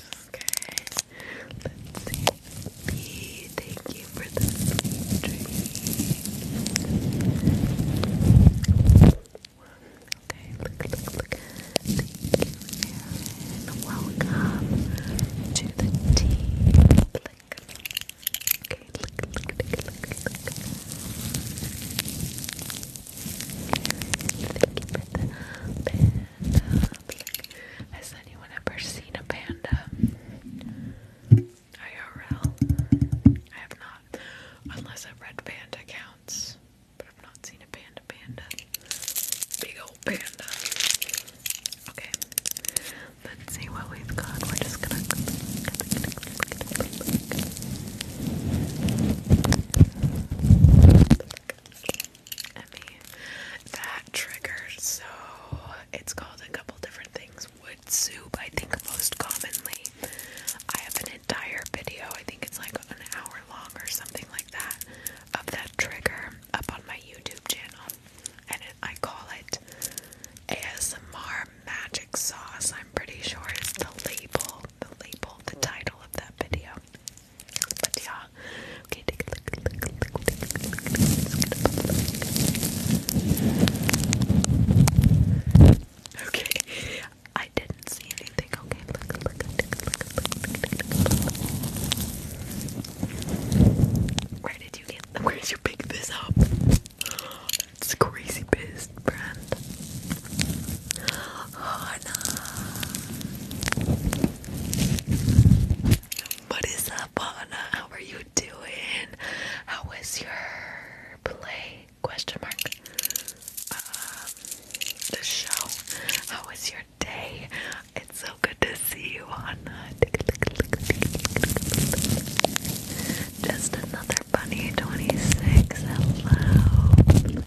Okay. Let's see. thank you for the dream. Okay, look, look, look. Thank you, Aaron. Welcome to the team. Click. Okay, look, look, look, look, look. Thank you for Has anyone ever seen a panda? IRL? I have not. Unless a red panda counts. But I've not seen a panda panda. Big old panda. Okay. Let's see what we've got. We're just gonna that triggered so it's called a couple different things. Wood soup, I think most commonly. I have an entire video, I think it's like an hour long or something like that, of that trigger up on my YouTube channel. And I call it ASMR Magic Sauce. I'm pretty sure it's the label, the label, the title of that video. Okay, Okay. I didn't see anything. Okay, Where did you get them? Where did you pick this up? It's crazy biz brand. Hannah. What is up, Hannah? How are you doing? How was your play? Question mark. Um, the show. How was your day? It's so good to see you, Hannah. Just another bunny. Twenty six. Hello.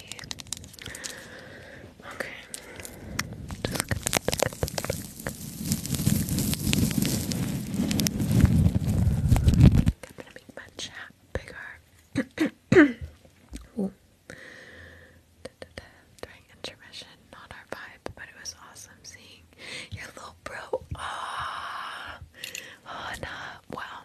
Okay. Just gonna make my chat bigger. During intermission, not our vibe, but it was awesome seeing your little bro. Ah, oh, Well,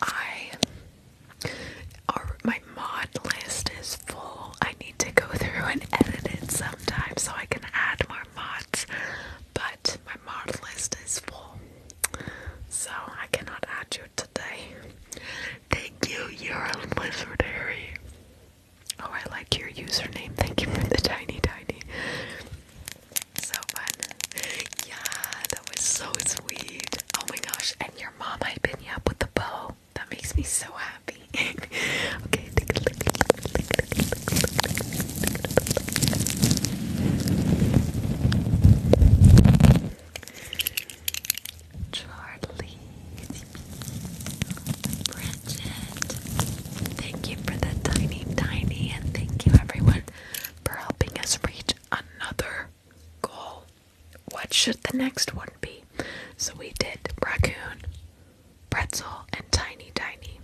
I our, my mod list is full. I need to go through and edit it sometime so I can add more mods. But my mod list is full. So I cannot add you today. Thank you, you're a lizard, Oh, I like your username. Thank you for the tiny, tiny. So fun. Yeah, that was so sweet. Oh my gosh. And your mom hyping you up with the bow. That makes me so happy. okay. Charlie, Bridget, Thank you for the tiny, tiny, and thank you everyone for helping us reach another goal. What should the next one be? So we did raccoon, pretzel, and tiny, tiny.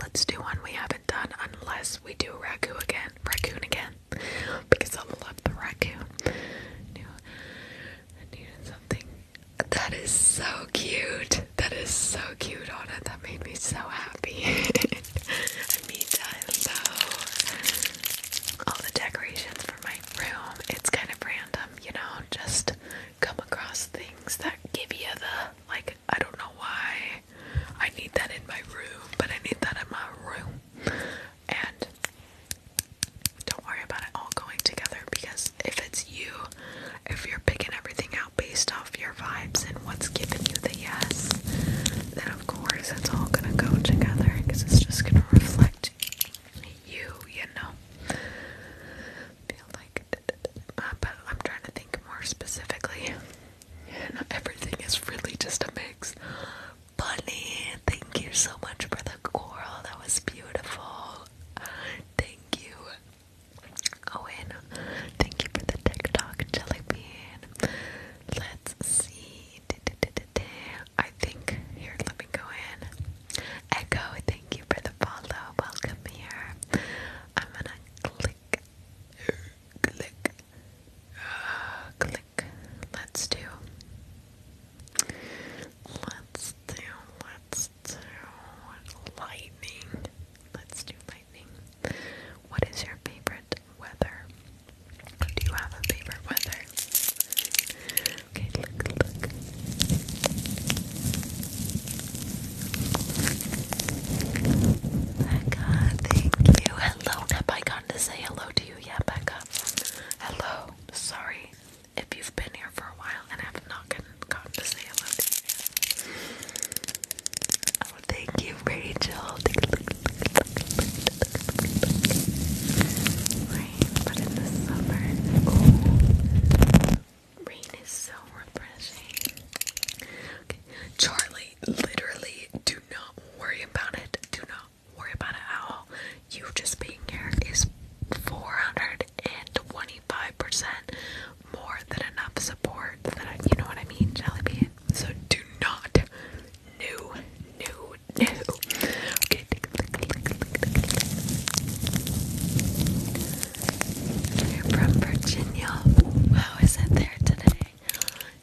Let's do one we haven't done unless we do raccoon again. Raccoon again. Because I love the raccoon. I something that is so cute. That is so cute on it. That made me so happy. And mean, I love all the decorations for my room. It's kind of random, you know, just come across things that give you the, like, I don't know why I need that in my room, but I need that in my room. And don't worry about it all going together because if it's you, if you're picking everything out based off your vibes and what's giving you the yes, then of course it's all gonna go together because it's just gonna reflect you, you know. Feel like, uh, but I'm trying to think more specifically. And everything is really just a mix. Bunny, thank you so much for the coral. That was beautiful. Thank you Owen, thank you for the TikTok jelly bean. Let's see. I think here, let me go in. Echo, thank you for the follow. Welcome here. I'm gonna click, click, click. Let's do. Let's do. Let's lightning. Let's do lightning. What is your favorite weather? Do you have a favorite weather? Okay, look, look. Becca, thank you. Hello, have I gotten to say hello to you yet, Becca? Hello. Sorry if you've been here for a while and have not come to say I love you. Oh, thank you, Rachel. Rain, but in the summer, oh, rain is so refreshing. Charlie, literally, do not worry about it. Do not worry about it at all. You just being here is 400 and 25% more than enough support that I, you know what I mean, Jellybean? So do not, no, no, no. Okay, take a look, look, look, look. You're from Virginia. How is it there today?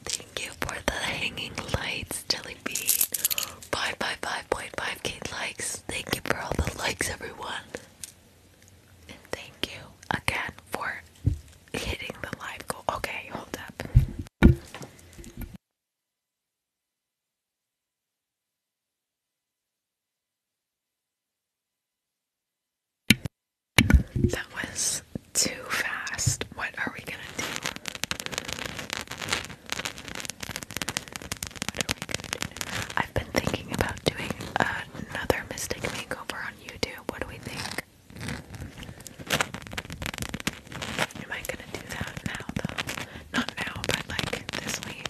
Thank you for the hanging lights, Jellybean. 555.5k likes. Thank you for all the likes, everyone thank you again for hitting the live goal. Okay, hold up. That was too fast. What are we gonna do? I've been thinking about doing another Mystic makeover on YouTube. What do we think? Am I gonna do that now though? Not now, but like this week.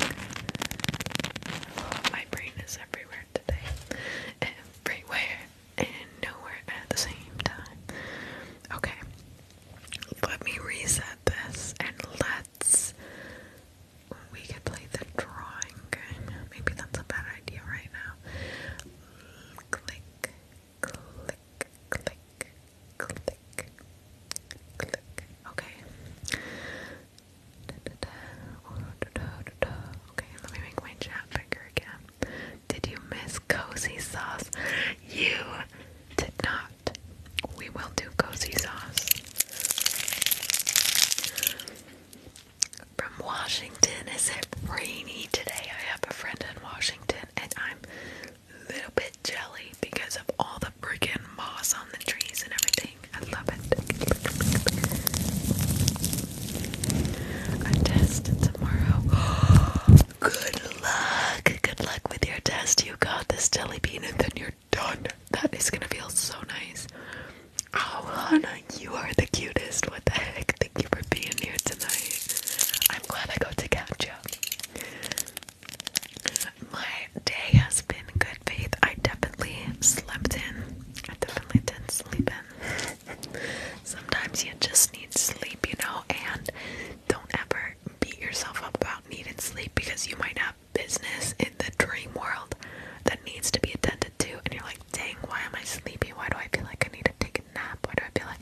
My brain is everywhere today. Everywhere and nowhere at the same time. Okay. Let me reset this and let's we could play the drawing game. Maybe that's a bad idea right now. Click, click, click, click, click. Okay. Oh, okay, let me make my chat bigger again. Did you miss cozy sauce? You did not. We will do cozy sauce from Washington is it rainy today? I have a friend in Washington and I'm a little bit jelly because of all the freaking moss on the trees and everything. I love it. A test tomorrow. Good luck. Good luck with your test. You got this jelly bean and then you're done. That is gonna feel so nice. Oh, Hannah, you are the cutest. What the heck? Thank you for being here tonight. I'm glad I got to catch you. My day has been good, Faith. I definitely slept in. I definitely did sleep in. Sometimes you just need sleep, you know, and don't ever beat yourself up about needing sleep because you might have business the dream world that needs to be attended to, and you're like, dang, why am I sleepy? Why do I feel like I need to take a nap? Why do I feel like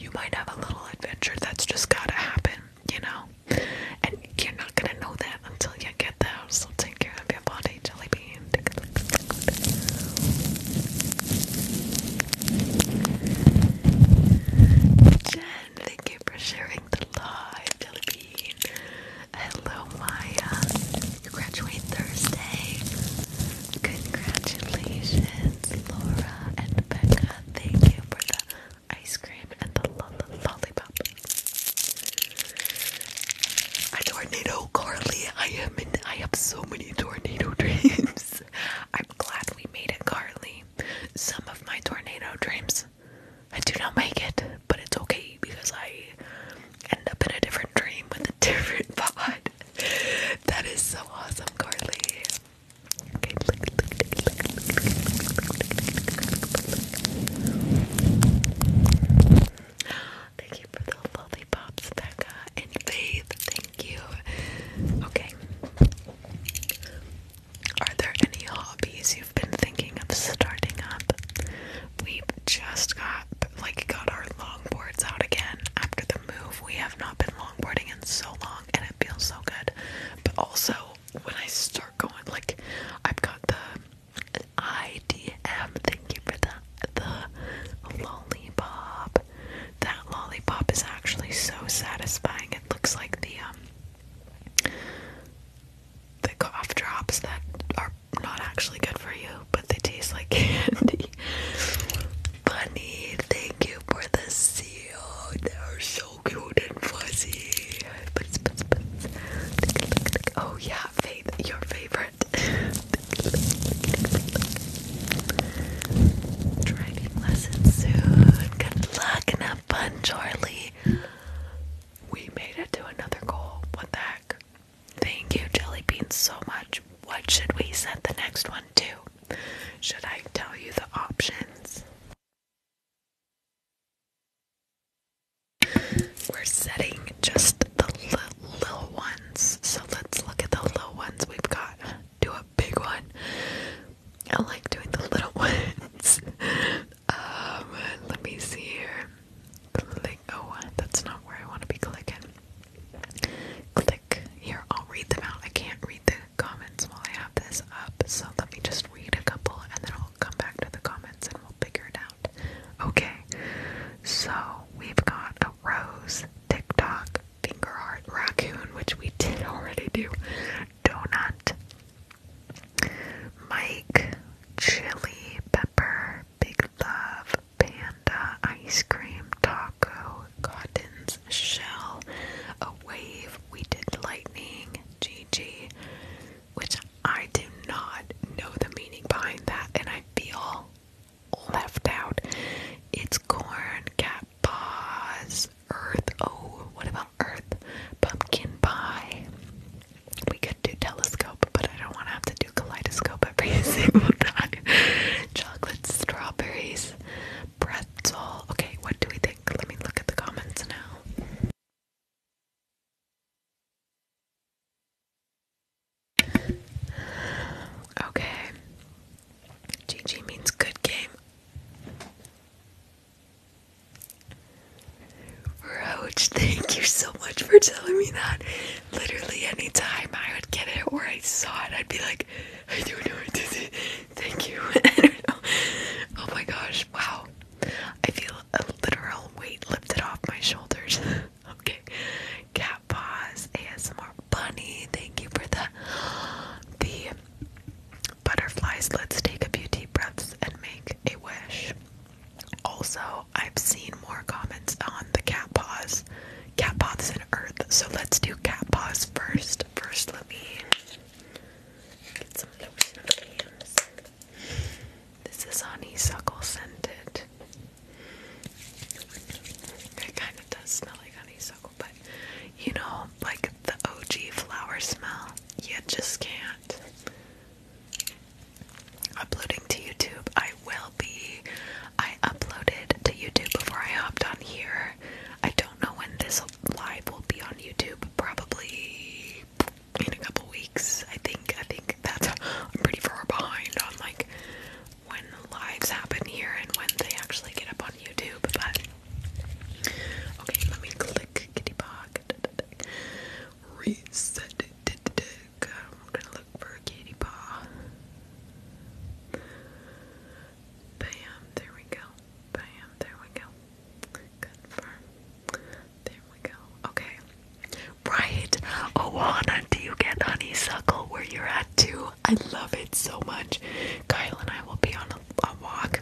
you might have a little adventure that's just gotta happen, you know? And you're not gonna know that until you get there, so take care of your body, Jellybean. Jen, thank you for sharing the live, Hello, Maya. You graduate Thursday. Congratulations, Laura and Becca. Thank you for the ice cream and the lollipop. tornado, Carly. I am I have so many tornado dreams. I'm glad we made it, Carly. Some of my tornado dreams, I do not make it but it's okay because I end up in a different dream with a different pod. that is so awesome, Carly. Thank you for the lollipops, Becca and Faith. Thank you. Okay. Are there any hobbies you've been thinking of starting up? We just got like got our longboards out again after the move. We have not been longboarding in so long and it feels so good. But also when I start going like I've got the IDM, thank you for that the lollipop. That lollipop is actually so satisfying. It looks like the um the cough drops that are not actually good for you, but they taste like candy. Bunny, thank you for the seal. They're so cute and fuzzy. But, but, but. Oh yeah, Faith, your favorite. Driving lessons soon. Good luck and have fun, Charlie. We made it to another goal. What the heck? Thank you, Jelly bean, so much. What should we set the next one to? Should I tell you the options? We're setting just the little ones. So let's look at the little ones we've got. Do a big one. I like doing the little ones. um, let me see here oh, that's not where I want to be clicking. Click here, I'll read them out. I can't read the comments while I have this up, so let me just read a couple and then I'll come back to the comments and we'll figure it out. Okay, so we've got a rose, TikTok, finger heart, raccoon, which we did already do, donut, Mike, chili, pepper, big love, panda ice cream taco cotton's shell a wave we did lightning gg which i do not know the meaning behind that and i feel left out it's corn cat paws earth oh what about earth pumpkin pie we could do telescope, but I don't want to have to do kaleidoscope every single time. Chocolate, strawberries, pretzel. Okay, what do we think? Let me look at the comments now. Okay. GG means good game. Roach, thank you so much for telling me that literally any time I would get it or I saw it, I'd be like, I do know what this is. Thank you. Oh my gosh. Wow. I feel a literal weight lifted off my shoulders. okay. Cat paws, ASMR bunny. Thank you for the the butterflies. Let's take a few deep breaths and make a wish. Also, I've seen more comments on the cat paws, cat paws and earth. So let's do cat paws first. First, let me get some lotion on my hands. This is honeysuckle scented. It kind of does smell like honeysuckle, but you know, like the OG flower smell, you just can't uploading to YouTube. I will be. I uploaded to YouTube before I hopped on here. I don't know when this live will be on YouTube. Probably in a couple weeks. I think. I think that's. I'm pretty far behind on like when lives happen here and when they actually get up on YouTube. But okay, let me click Kitty Bog. Reset. Um, I'm gonna for a kitty paw. Bam, there we go. Bam, there we go. Confirm. There we go. Okay. Right. Awana, do you get honeysuckle where you're at too? I love it so much. Kyle and I will be on a, walk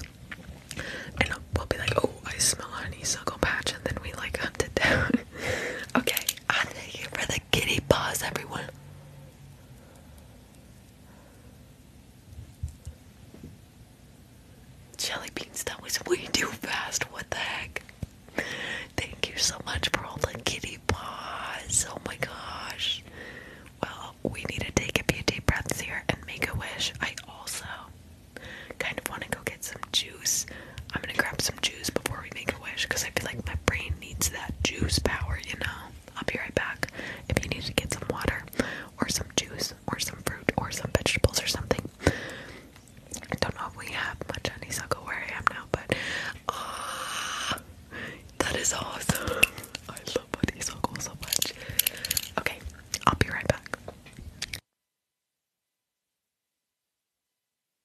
and we'll be like, oh, I smell honeysuckle patch, and then we like hunt it down. okay, I thank you for the kitty paws, everyone. Jelly beans, that was way too fast. What the heck? Thank you so much for all the kitty paws. Oh my gosh. Well, we need to take a few deep breaths here and make a wish. I also kind of want to go get some juice. I'm gonna grab some juice before we make a wish because I feel like my brain needs that juice power, you know? I'll be right back. If you need to get some water or some juice or some fruit or some vegetables or something. I don't know if we have much honeysuckle where I am now, but ah, that is awesome. I love honeysuckle so much. Okay, I'll be right back.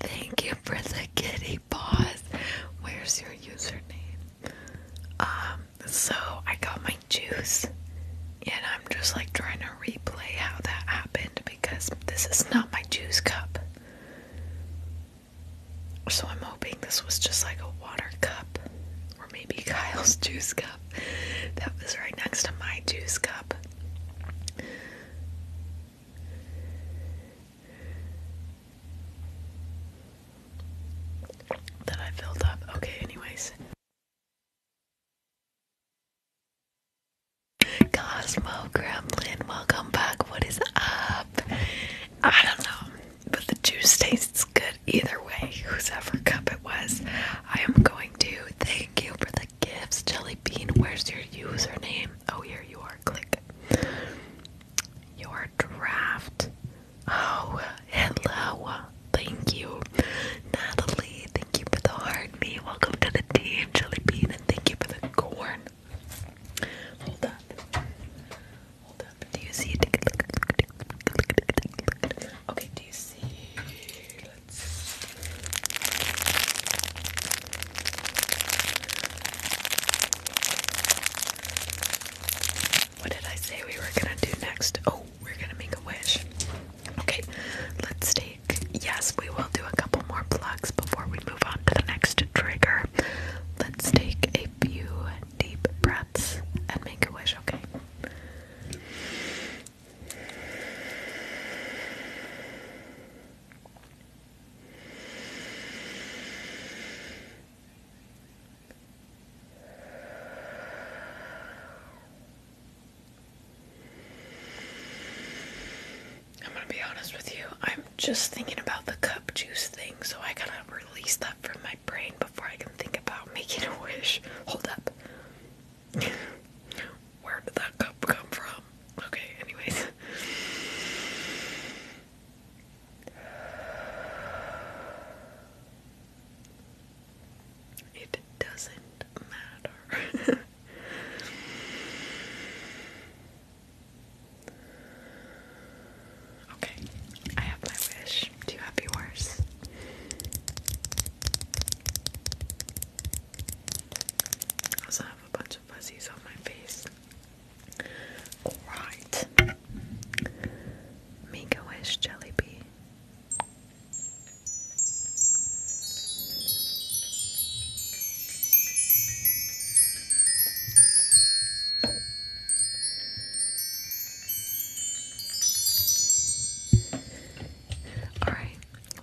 Thank you for the kitty boss. Where's your username? Um, so I got my juice. And I'm just like trying to replay how that happened because this is not my juice cup. So I'm hoping this was just like a water cup or maybe Kyle's juice cup that was right next to my juice cup. That I filled up. Okay, anyways. Cosmo Gremlin, welcome back. What is up? I don't know, but the juice tastes good either way, Whose ever cup it was. I am going to thank you for the gifts, Jelly Bean. Where's your username? Oh, here you are. Click your draft. Oh, hello. Thank you. Natalie, thank you for the heart. Me, welcome to the team. Jelly Bean, and thank you for the corn. Hold up. Hold up. Do you see? Okay, do you see? Let's. What did I say we were gonna do next? Oh, we're gonna make a wish. Okay, let's take. Yes, we will do a couple more plugs before we move on to the next trigger. Let's take a few deep breaths and make a wish, okay? I'm gonna be honest with you, I'm just thinking about the cup juice thing, so I gotta release that from my brain before I can think about making a wish. Hold up. Where did that cup come from? Okay, anyways. It doesn't matter. okay, I have my wish. Do you have yours? I also have a bunch of fuzzies on my face. Alright. Mika wish jelly bee. Alright,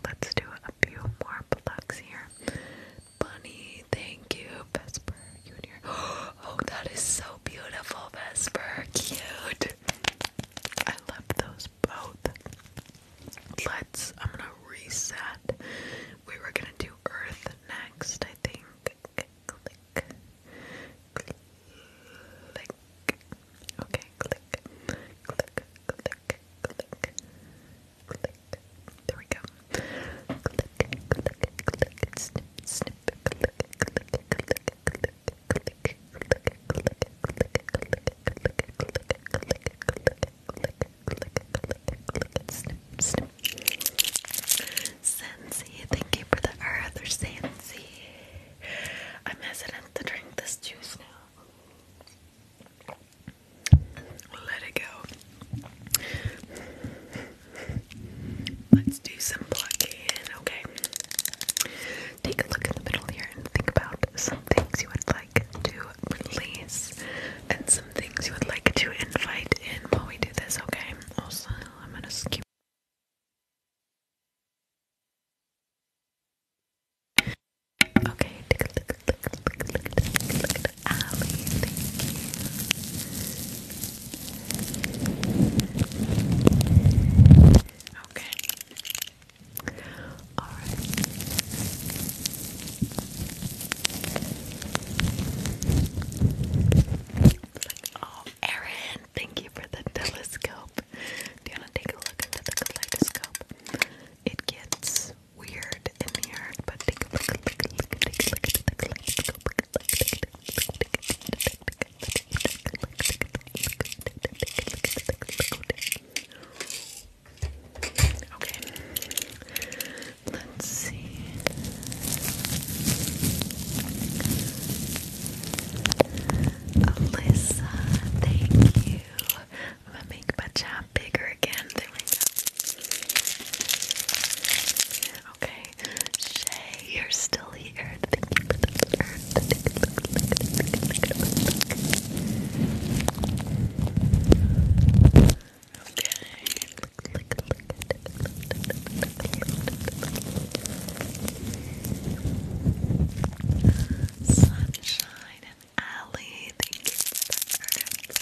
let's do a few more plugs here. Bunny, thank you, Vesper Junior. Oh, that is so beautiful, Vesper. Cute. I love those both. Let's, I'm gonna reset. We were gonna do Earth next, I think. Click, click, click. Okay, click, click, click, click, click. There we go. Click, click, click, snip, snip, click, click, click, click. Sensi, thank you for the earth or I'm hesitant to drink this juice now. Let it go. Let's do some plucking, okay? take a look in the middle here and think about some things you would like to release and some things you would like to invite in while we do this, okay? Also, I'm gonna skip. Okay, take a look, look, look, look, look, look at Okay, Alright. oh, Erin, thank you for the telescope. Do you want to take a look into the kaleidoscope? It gets weird in here, but Okay. Let's see. Alyssa, thank you. I'm gonna make my job bigger again. Okay. Shay, you're still here. Sunshine and Allie, thank you for that.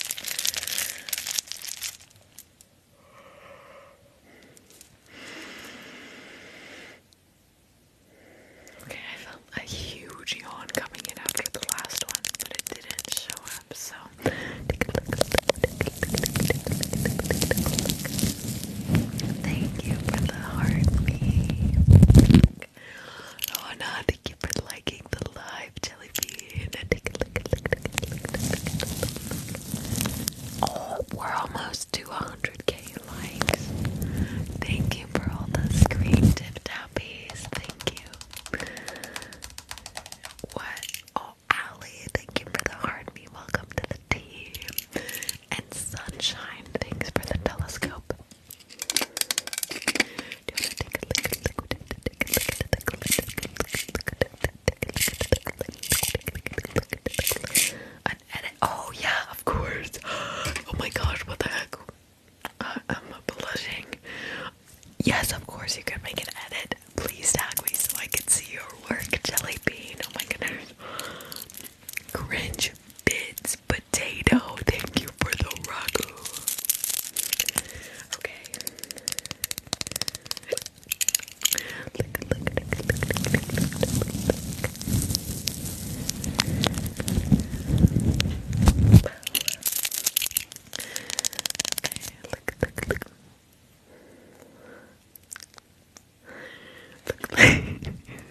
Okay, I felt a huge yawn coming in after the last one, but it didn't show up, so thank you for the heartbeat. Oh no, thank you for liking the live jelly bean. Oh, we're almost to 100k. K Thank you for all the screen tip tappies. Thank you. What? Oh, Allie, thank you for the heart. Me, welcome to the team. And Sunshine, thanks for the telescope. An edit. Oh yeah, of course. Oh my gosh, what the heck? I'm blushing. Yes, of course you can make an edit. Please tag me so I can see your work, Jelly Bean. Oh my goodness. Cringe bits potato. Thank you for the ragu. Okay look, look, look.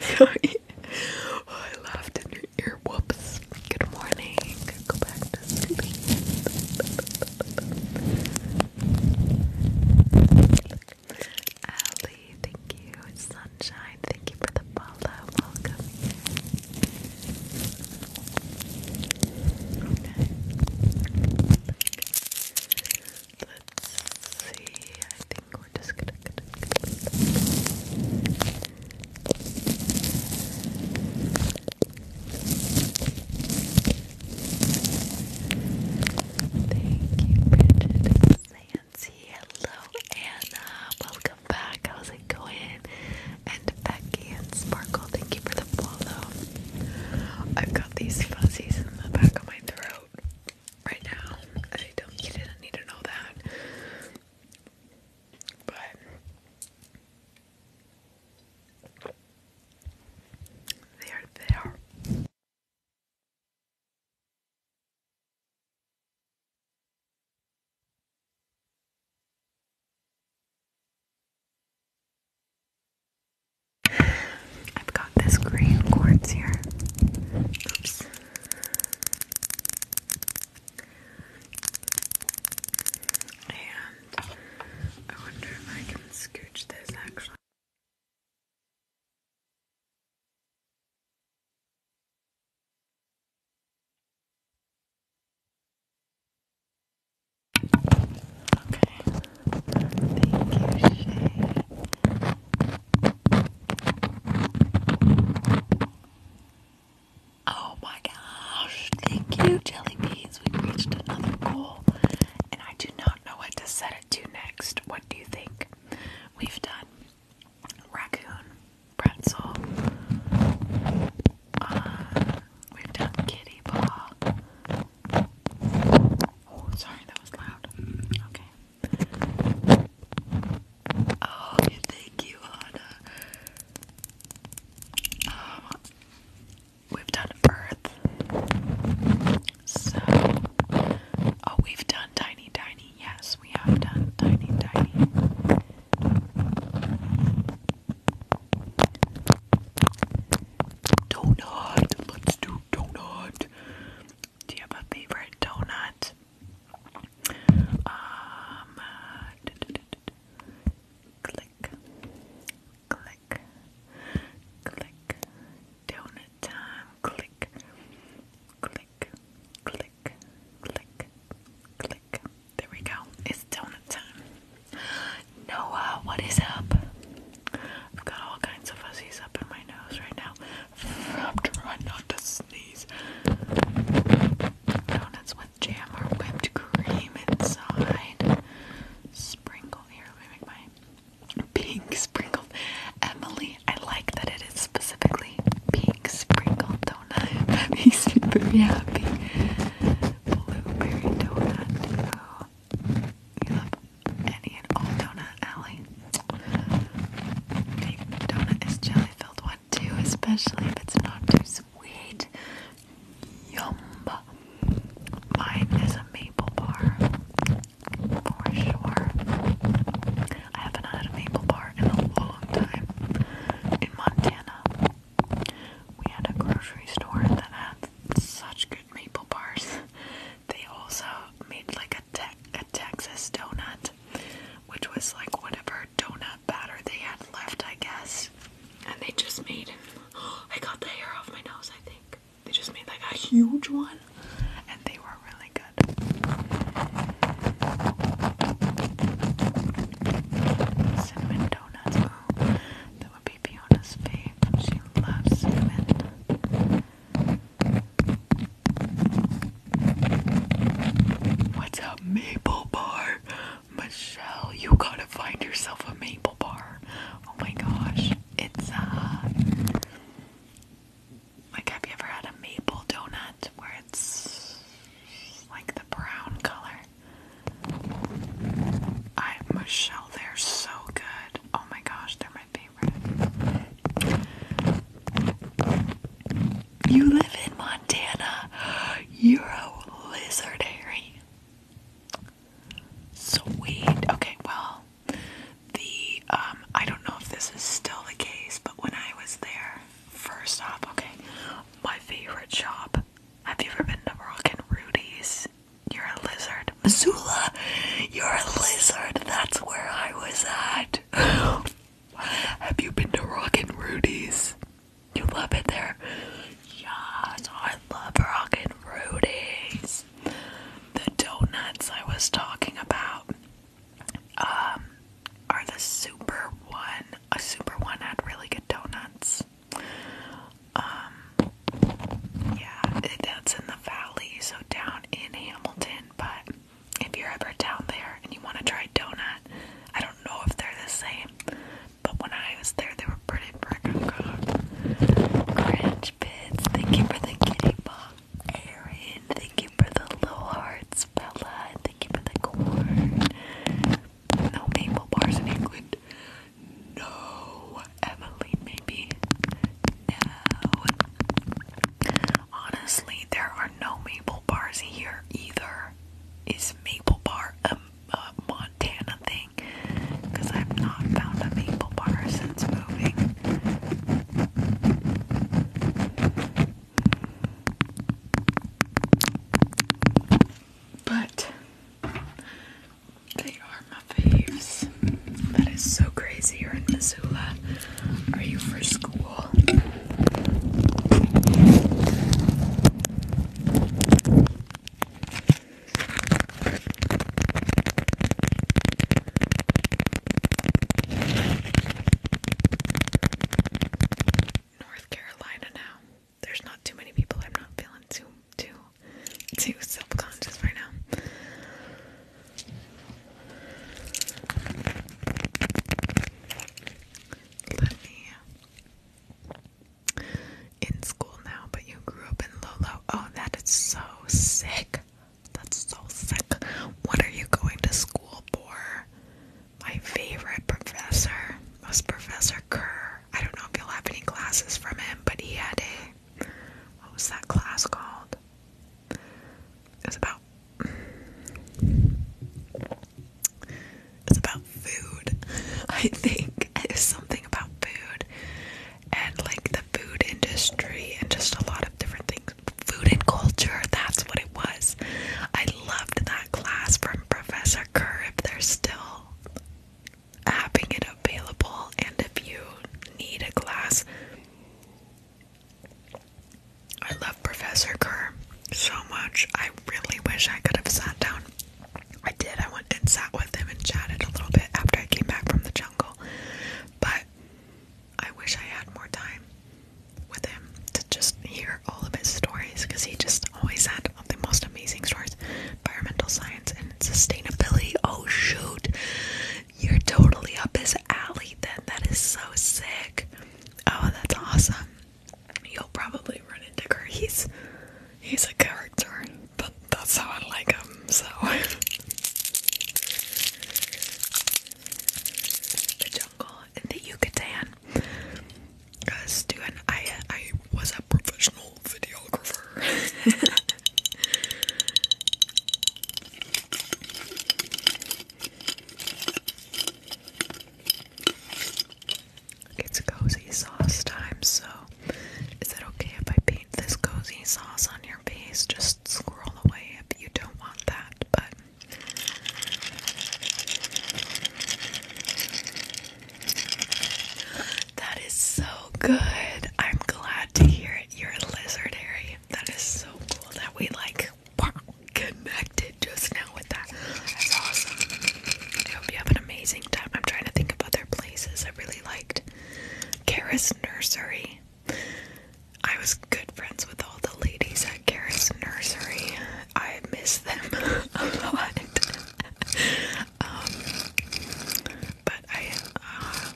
Sorry. Oh, I laughed in your ear. Whoops. Good morning. Go back to sleep thank you. Sunshine, thank you for the follow. Welcome. Let's see. I think we're just Thank you, Bridget. Hello, Anna. Welcome back. How's it going? And Becky and Sparkle, thank you for the follow. I've got these fuzzies in the back of my throat right now. I don't. You didn't need to know that, but they are there. I've got this green cords here. Oops. And I wonder if I can scooch this actually. Thank you, Shay. Oh my gosh, thank you, Jelly Beans. We reached another goal, and I do not know what to set it to next. What do you think? We've done raccoon pretzel. Uh, we've done kitty paw. Oh, sorry, that was loud. Okay. Oh, thank you, Anna. Um, we've done Earth. So, oh, we've done tiny tiny. Yes, we have done tiny tiny. Donut. Let's do donut. Do you have a favorite donut? Um, uh, click, click, click. Donut time. Click, click, click click, click, click. There we go. It's donut time. Noah, what is up? I've got all kinds of fuzzies up in my nose right now. I'm trying not to sneeze. Donuts with jam or whipped cream inside. Sprinkle here. Let me make my pink sprinkled. Emily, I like that it is specifically pink pink sprinkle donut. That makes me very happy. Blueberry donut. Oh, love any and all donut, Allie. The donut is jelly filled one too, especially if it's not too sweet. Yum. Mine is a maple bar. For sure. I haven't had a maple bar in a long time. In Montana, we had a grocery store that had such good maple bars. They also made like a, te a Texas donut, which was like whatever donut batter they had left, I guess. And they just made, I got the hair off my nose, I think. They just made like a huge one, and they were really good. Cinnamon donuts. that would be Fiona's fave. She loves cinnamon. What's a maple bar? Michelle, you gotta find yourself a maple bar. Oh my gosh. It's uh like have you ever had a maple donut where it's like the brown color. I Michelle, they're so good. Oh my gosh, they're my favorite. You live in Montana. You're a lizard, Harry. Sweet. Okay, well, the um, I don't know if this is still the case, but when I was there, First off, okay, my favorite shop. Have you ever been to Rockin' Rudy's? You're a lizard. Missoula, you're a lizard. That's where I was at. Have you been to Rockin' Rudy's? You love it there? Yes, I love Rockin' Rudy's. The donuts I was talking about. Um, are the super one a super one had really good donuts? Um, yeah, that's in the valley, so down in Hamilton. But if you're ever down there and you want to try donut, I don't know if they're the same, but when I was there, they were pretty freaking good. Crunch bits, thank you for the kitty pop. Erin, thank you for the low hearts, Bella. No maple bars in England. No, Emily, maybe. No. Honestly, there are no maple bars here either. Is maple bar a Montana thing? Because I've not found a maple bar since moving. But they are my faves. That is so crazy. You're in Missoula. Are you for school? North Carolina now. There's not too many people. I'm not feeling too too too self-conscious right now. Let me uh, in school now, but you grew up in Lolo. Oh, that is so sick. That's so sick. What are you going to school for? My favorite professor was Professor Kerr. I don't know if you'll have any classes from him, but he had a what was that class called? It was about it's about food, I think. It was something about food and like the food industry and just a lot of different things. Food and culture, that's what it was. I loved that class from Professor Kerr. If they're still having it available, and if you need a class, I love Professor Kerr so much. I really wish I could have sat down. I did. I went and sat with him and chatted a little bit after I came back from the jungle, but I wish I had more time with him to just hear all of his stories because he just always had the most amazing stories. Environmental science and sustainability. Oh shoot, you're totally up his alley. Then that is so sick. Oh, that's awesome. You'll probably run into her. He's he's a character, but that's how I like him. So. The jungle in the Yucatan a I I was a professional videographer. it's cozy sauce time, so is it okay if I paint this cozy sauce on your face? Just scroll away if you don't want that, but that is so good. I'm glad to hear it. You're a lizardary. That is so cool that we like connected just now with that. That's awesome. I hope you have an amazing time. I'm trying to think of other places I really liked. Karis Nursery. I was good friends with all the ladies at Karis Nursery. I miss them a lot. Um, but I, uh,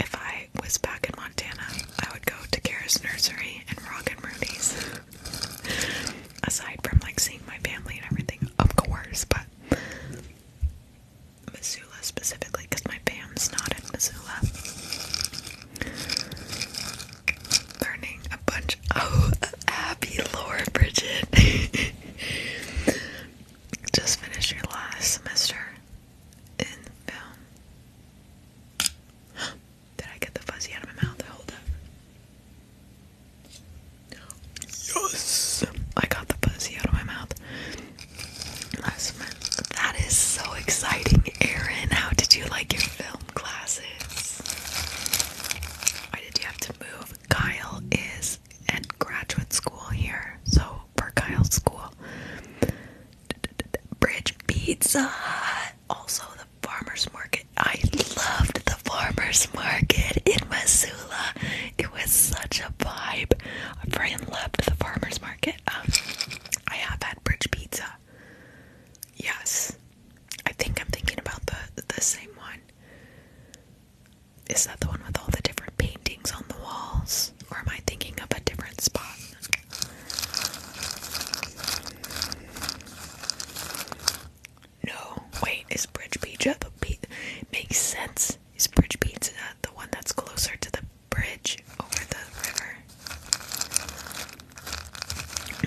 if I was back in Montana, I would go to Kara's Nursery and Rock and Rooney's. Aside from like seeing my family and everything, of course, but Missoula specifically because my fam's not in Missoula learning a bunch. Oh, Abby, Laura, Bridget. Just finished your last semester in film. Did I get the fuzzy out of my mouth? Hold up. Yes! I got the fuzzy out of my mouth. Last semester. That is so exciting, Erin. How did you like your film? classes. Why did you have to move? Kyle is at graduate school here, so for Kyle's school. Bridge Pizza! Also, the farmer's market. I loved the farmer's market in Missoula. It was such a vibe. I friend loved the farmer's market. Um, I have had Bridge Pizza. Yes. I think I'm thinking about the the same one. Is that the one with all the different paintings on the walls? Or am I thinking of a different spot? No, wait, is Bridge Pizza the pe makes sense? Is Bridge Pizza the one that's closer to the bridge over the river?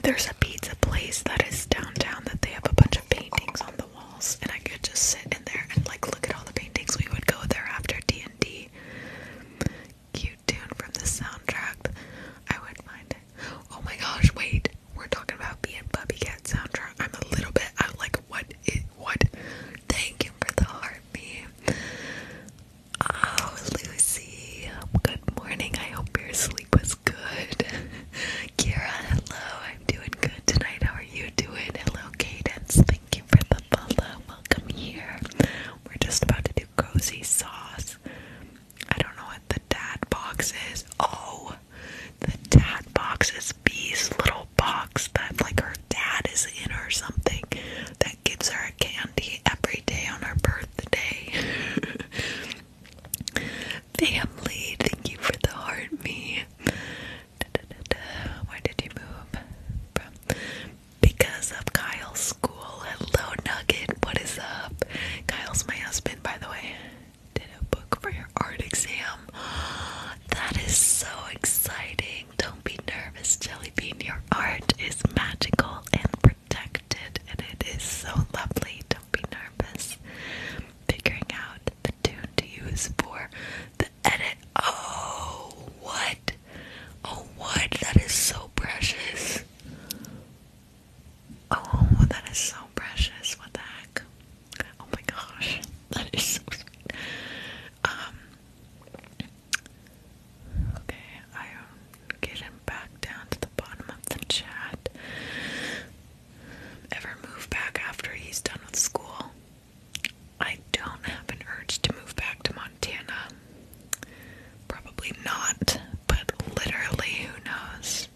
There's a pizza place that is downtown that they have a bunch of paintings on the walls, and I could just sit in there and like look at all the paintings. We would go there after D and D. Cute tune from the soundtrack. I wouldn't mind Oh my gosh! Wait, we're talking about being Bubby Cat soundtrack. I'm a little bit. I'm like, what? Is, what? Thank you for the heart meme. Oh, Lucy. Good morning. I hope you're asleep sleep was good. Kira, hello. I'm doing good tonight. How are you doing? Hello, Cadence. Thank you for the follow. Welcome here. We're just about to do cozy sauce. I don't know what the dad box is. Oh, the dad box is Bee's little box that like her dad is in or something that gives her a candy every day on her birthday. Family, thank you for the heart, me. Why did you move from? Because of Kyle's school. Hello, Nugget. What is up? Kyle's my husband, by the way. Did a book for your art exam. That is so exciting. Don't be nervous, Jellybean. Your art is magical and protected, and it is so lovely. Don't be nervous. Figuring out the tune to use for the edit. Oh, what? Oh, what? That is so precious. Oh, that is so precious. What the heck? Oh my gosh, that is so sweet. Um, okay, I um, getting back down to the bottom of the chat. Ever move back after he's done with school? I don't have an urge to move back to Montana. Probably not, but literally, who knows?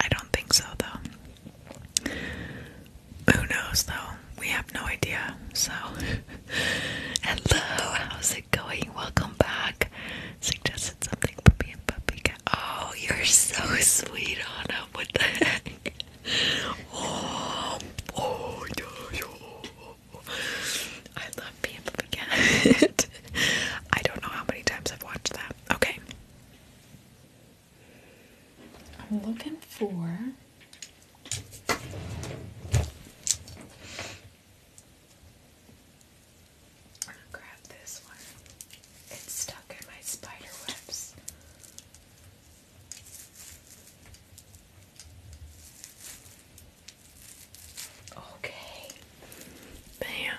I don't think so, though. Who knows, though? We have no idea. So, hello, how's it going? Welcome back something for being puppy cat. Oh, you're so sweet, Anna. What the heck? Oh, oh, yeah, yeah. I love being puppy cat. I don't know how many times I've watched that. Okay. I'm looking for grab this one. It's stuck in my spider webs. Okay. Bam.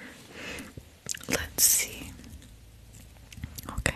Let's see. Okay.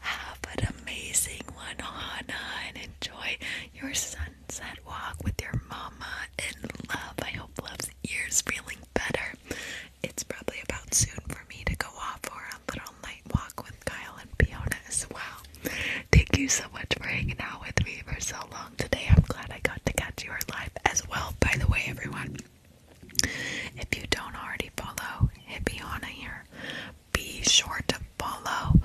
Have an amazing one, Hannah, and enjoy your sunset walk with your mama and love. I hope Love's ears feeling better. It's probably about soon for me to go off for a little night walk with Kyle and Fiona as well. Thank you so much for hanging out with me for so long today. I'm glad I got to catch your live as well. By the way, everyone, if you don't already follow, hit me on here be sure to follow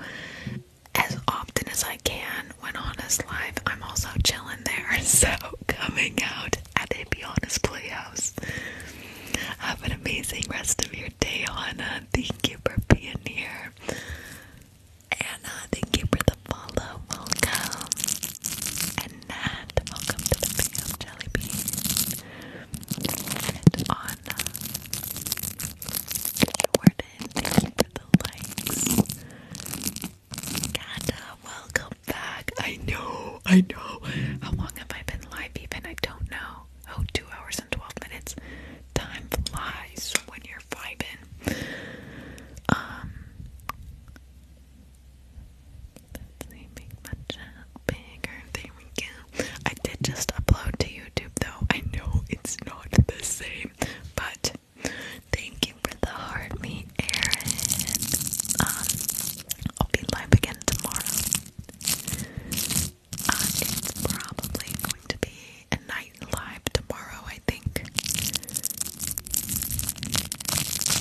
as often as I can when Honest Live. I'm also chilling there, so coming out at a Be Honest Playhouse. Have an amazing rest of your day, Hannah. Thank you for being here. Anna, thank you for the follow. Welcome. And Nat, welcome to the Jelly Bean on Jordan, thank you the likes Ganda, welcome back I know, I know how long have I been live even? I don't know oh, two hours and 12 minutes time flies when you're vibing um, Let's make my chat bigger. There we go. I did just upload to YouTube though. I know it's not the same, but thank you for the heart, me, Aaron. Um, I'll be live again tomorrow. Uh, it's probably going to be a night live tomorrow, I think.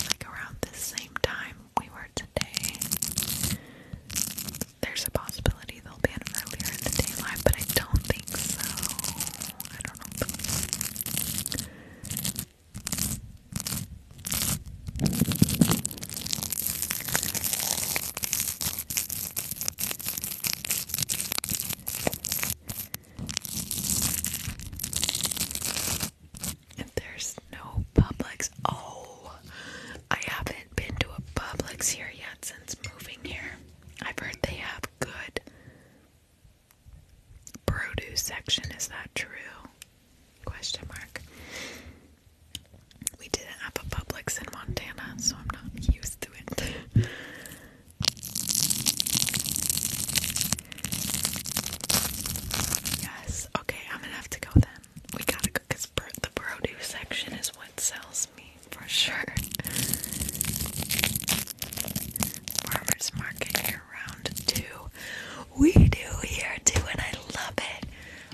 Like around the same time we were today there's a possibility they'll be him earlier in the day live, but I don't think so. I don't know. If there's no Publix, oh, I haven't been to a Publix here yet since moving here. I've heard they have good produce section. Is that true? Question mark. We didn't have a Publix in Montana, so I'm not used to it. yes. Okay, I'm gonna have to go then. We gotta go because the produce section is what sells me for sure. Farmers market round too. We do here too, and I love it.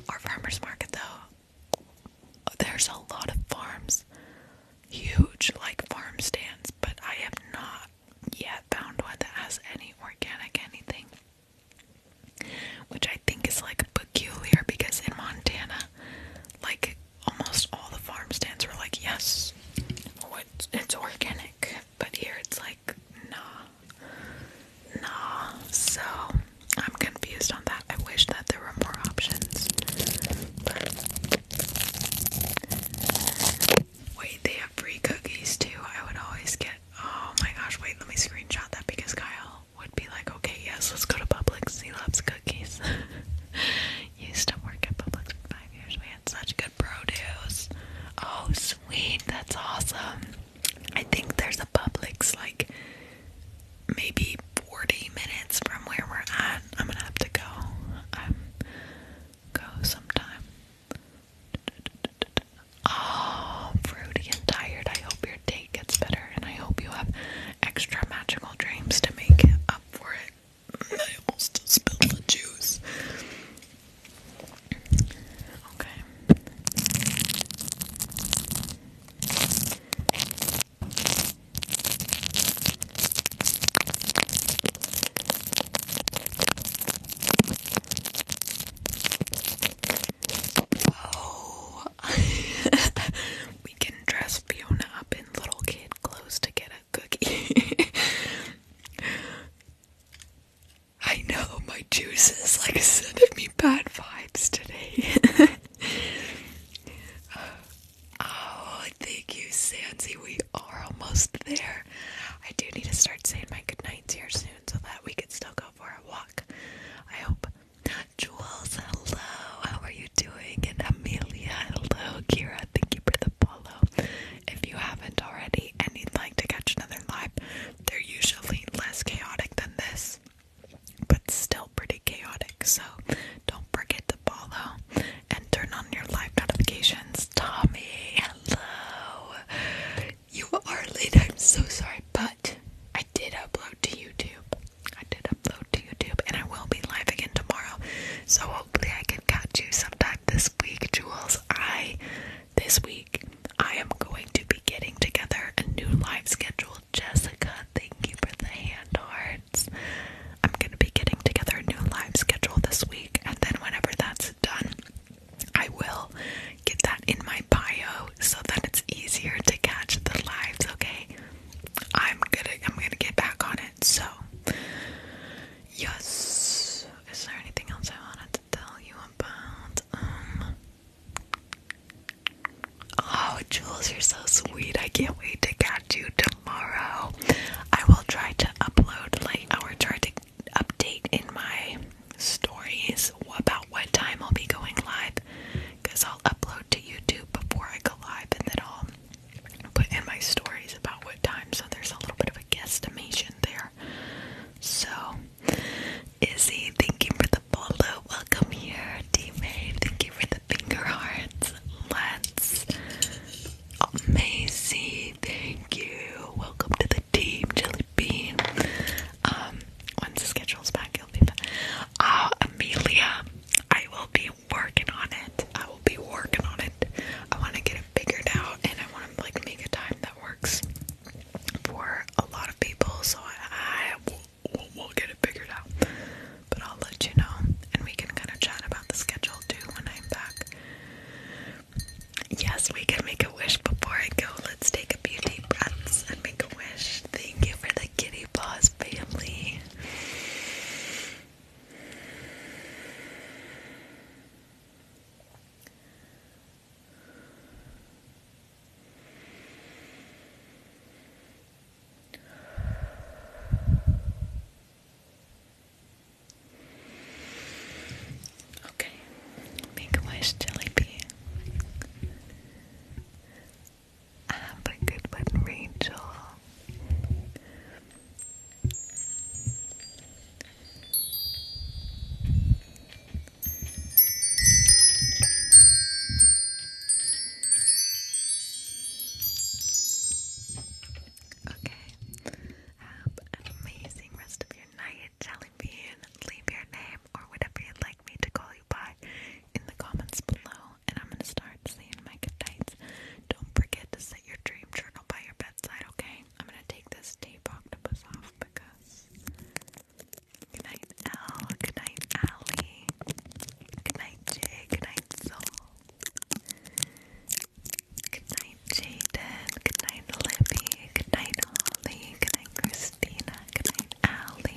Our farmers market though, there's a lot of farms, huge like farm stands, but I have not yet found one that has any organic anything. Which I think is like peculiar because in Montana, like almost all the farm stands were like, yes, it's, it's organic, but here it's like, nah, nah. So I'm confused on that. I wish that there were more options. Wait, they have free cookies too. I would always get. Oh my gosh, wait, let me screenshot that because Kyle would be like, okay, yes, let's go to Publix. She loves cookies. Used to work at Publix for five years. We had such good produce. Oh, sweet. That's awesome. I think there's a Publix like maybe 40 minutes from where we're at. I'm gonna have to go. Um, go sometime. Oh, fruity and tired. I hope your day it gets better, and I hope you have extra magical dreams to make up for it. I almost spilled the juice. Okay. Oh, we can dress Fiona up in little kid clothes to get a cookie. I know my juice is like sending me bad vibes today. oh, thank you, Sansi. We are almost there. I do need to start saying my goodnights here soon so that we can still go for a walk. I hope Jules, hello. How are you doing? And Amelia, hello. Kira, thank you for the follow. If you haven't already and you'd like to catch another live, they're usually less chaotic than this, but still pretty chaotic. So don't forget to follow and turn on your live notifications. Tommy, hello. You are late. I'm so sorry, but I did upload to YouTube. I did upload to YouTube, and I will be live again tomorrow. So hopefully, I can catch you sometime this week, Jules. I this week I am going to be getting together a new live schedule. Jessica, thank you for the hand hearts. I'm gonna be getting together a new live schedule this week, and then whenever that's done, I will get that in my bio so that it's easier to catch the lives. Okay. I'm gonna I'm gonna get back on it. So yes. Is there anything else I wanted to tell you about? Um, oh Jules, you're so sweet. I can't wait to catch you tomorrow. I will try to upload like I will try to update in my stories about what time I'll be going live because I'll upload to YouTube before I go live and then I'll put in my stories about what time, so there's a little bit of a guesstimation there. So, Izzy, thank you for the follow. Welcome here, teammate. Thank you for the finger hearts. Let's. Macy, thank you. Welcome to the team, Jelly Bean. Um, once the schedule's back, you'll be back. Oh, Amelia, I will be working on it. I will be working on it. I want to get it figured out, and I want to like make a time that works for a lot of people. So I, will, get it figured out. But I'll let you know, and we can kind of chat about the schedule too when I'm back. Yes, we can make a wish before I go. Let's take a few deep breaths and make a wish. Thank you for the kitty Boss family me. Okay, make a wish, Jelly have a good one, Rachel. Okay, have an amazing rest of your night, Jellybean. Leave your name or whatever you'd like me to call you by in the comments below, and I'm gonna start saying my good Don't forget to set your dream journal by your bedside, okay? I'm gonna take this tape octopus off because. Good night, Al. Good night, Allie. Good night, Jay. Good night, Soul. Good night, Jaden. Good Libby. Good Holly. Good Christina. Good night, Allie.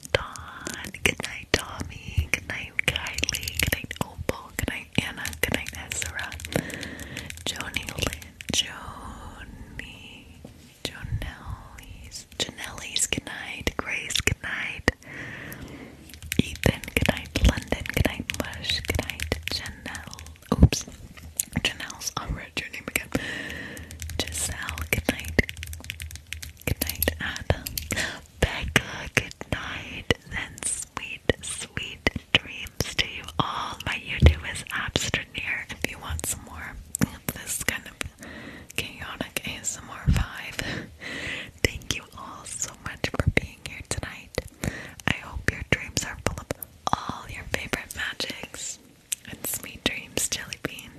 Don. Good night, Tommy. Good night, Kylie. Good night, Opal. Good night, Anna. Good night, Ezra. Joni Lynn. Joni. Jonelli's. Janelli's. Good night. Grace. Good night. Ethan. Good night. London. Good night, Bush. Good night, Janelle. Oops. Janelle's. Oh, I'll read your name again. Giselle. Good night. Good night, Adam. Becca, good night, and sweet, sweet dreams to you all. My YouTube is Abstraneer if you want some more of this kind of chaotic ASMR vibe. Thank you all so much for being here tonight. I hope your dreams are full of all your favorite magics and sweet dreams, Jelly Bean.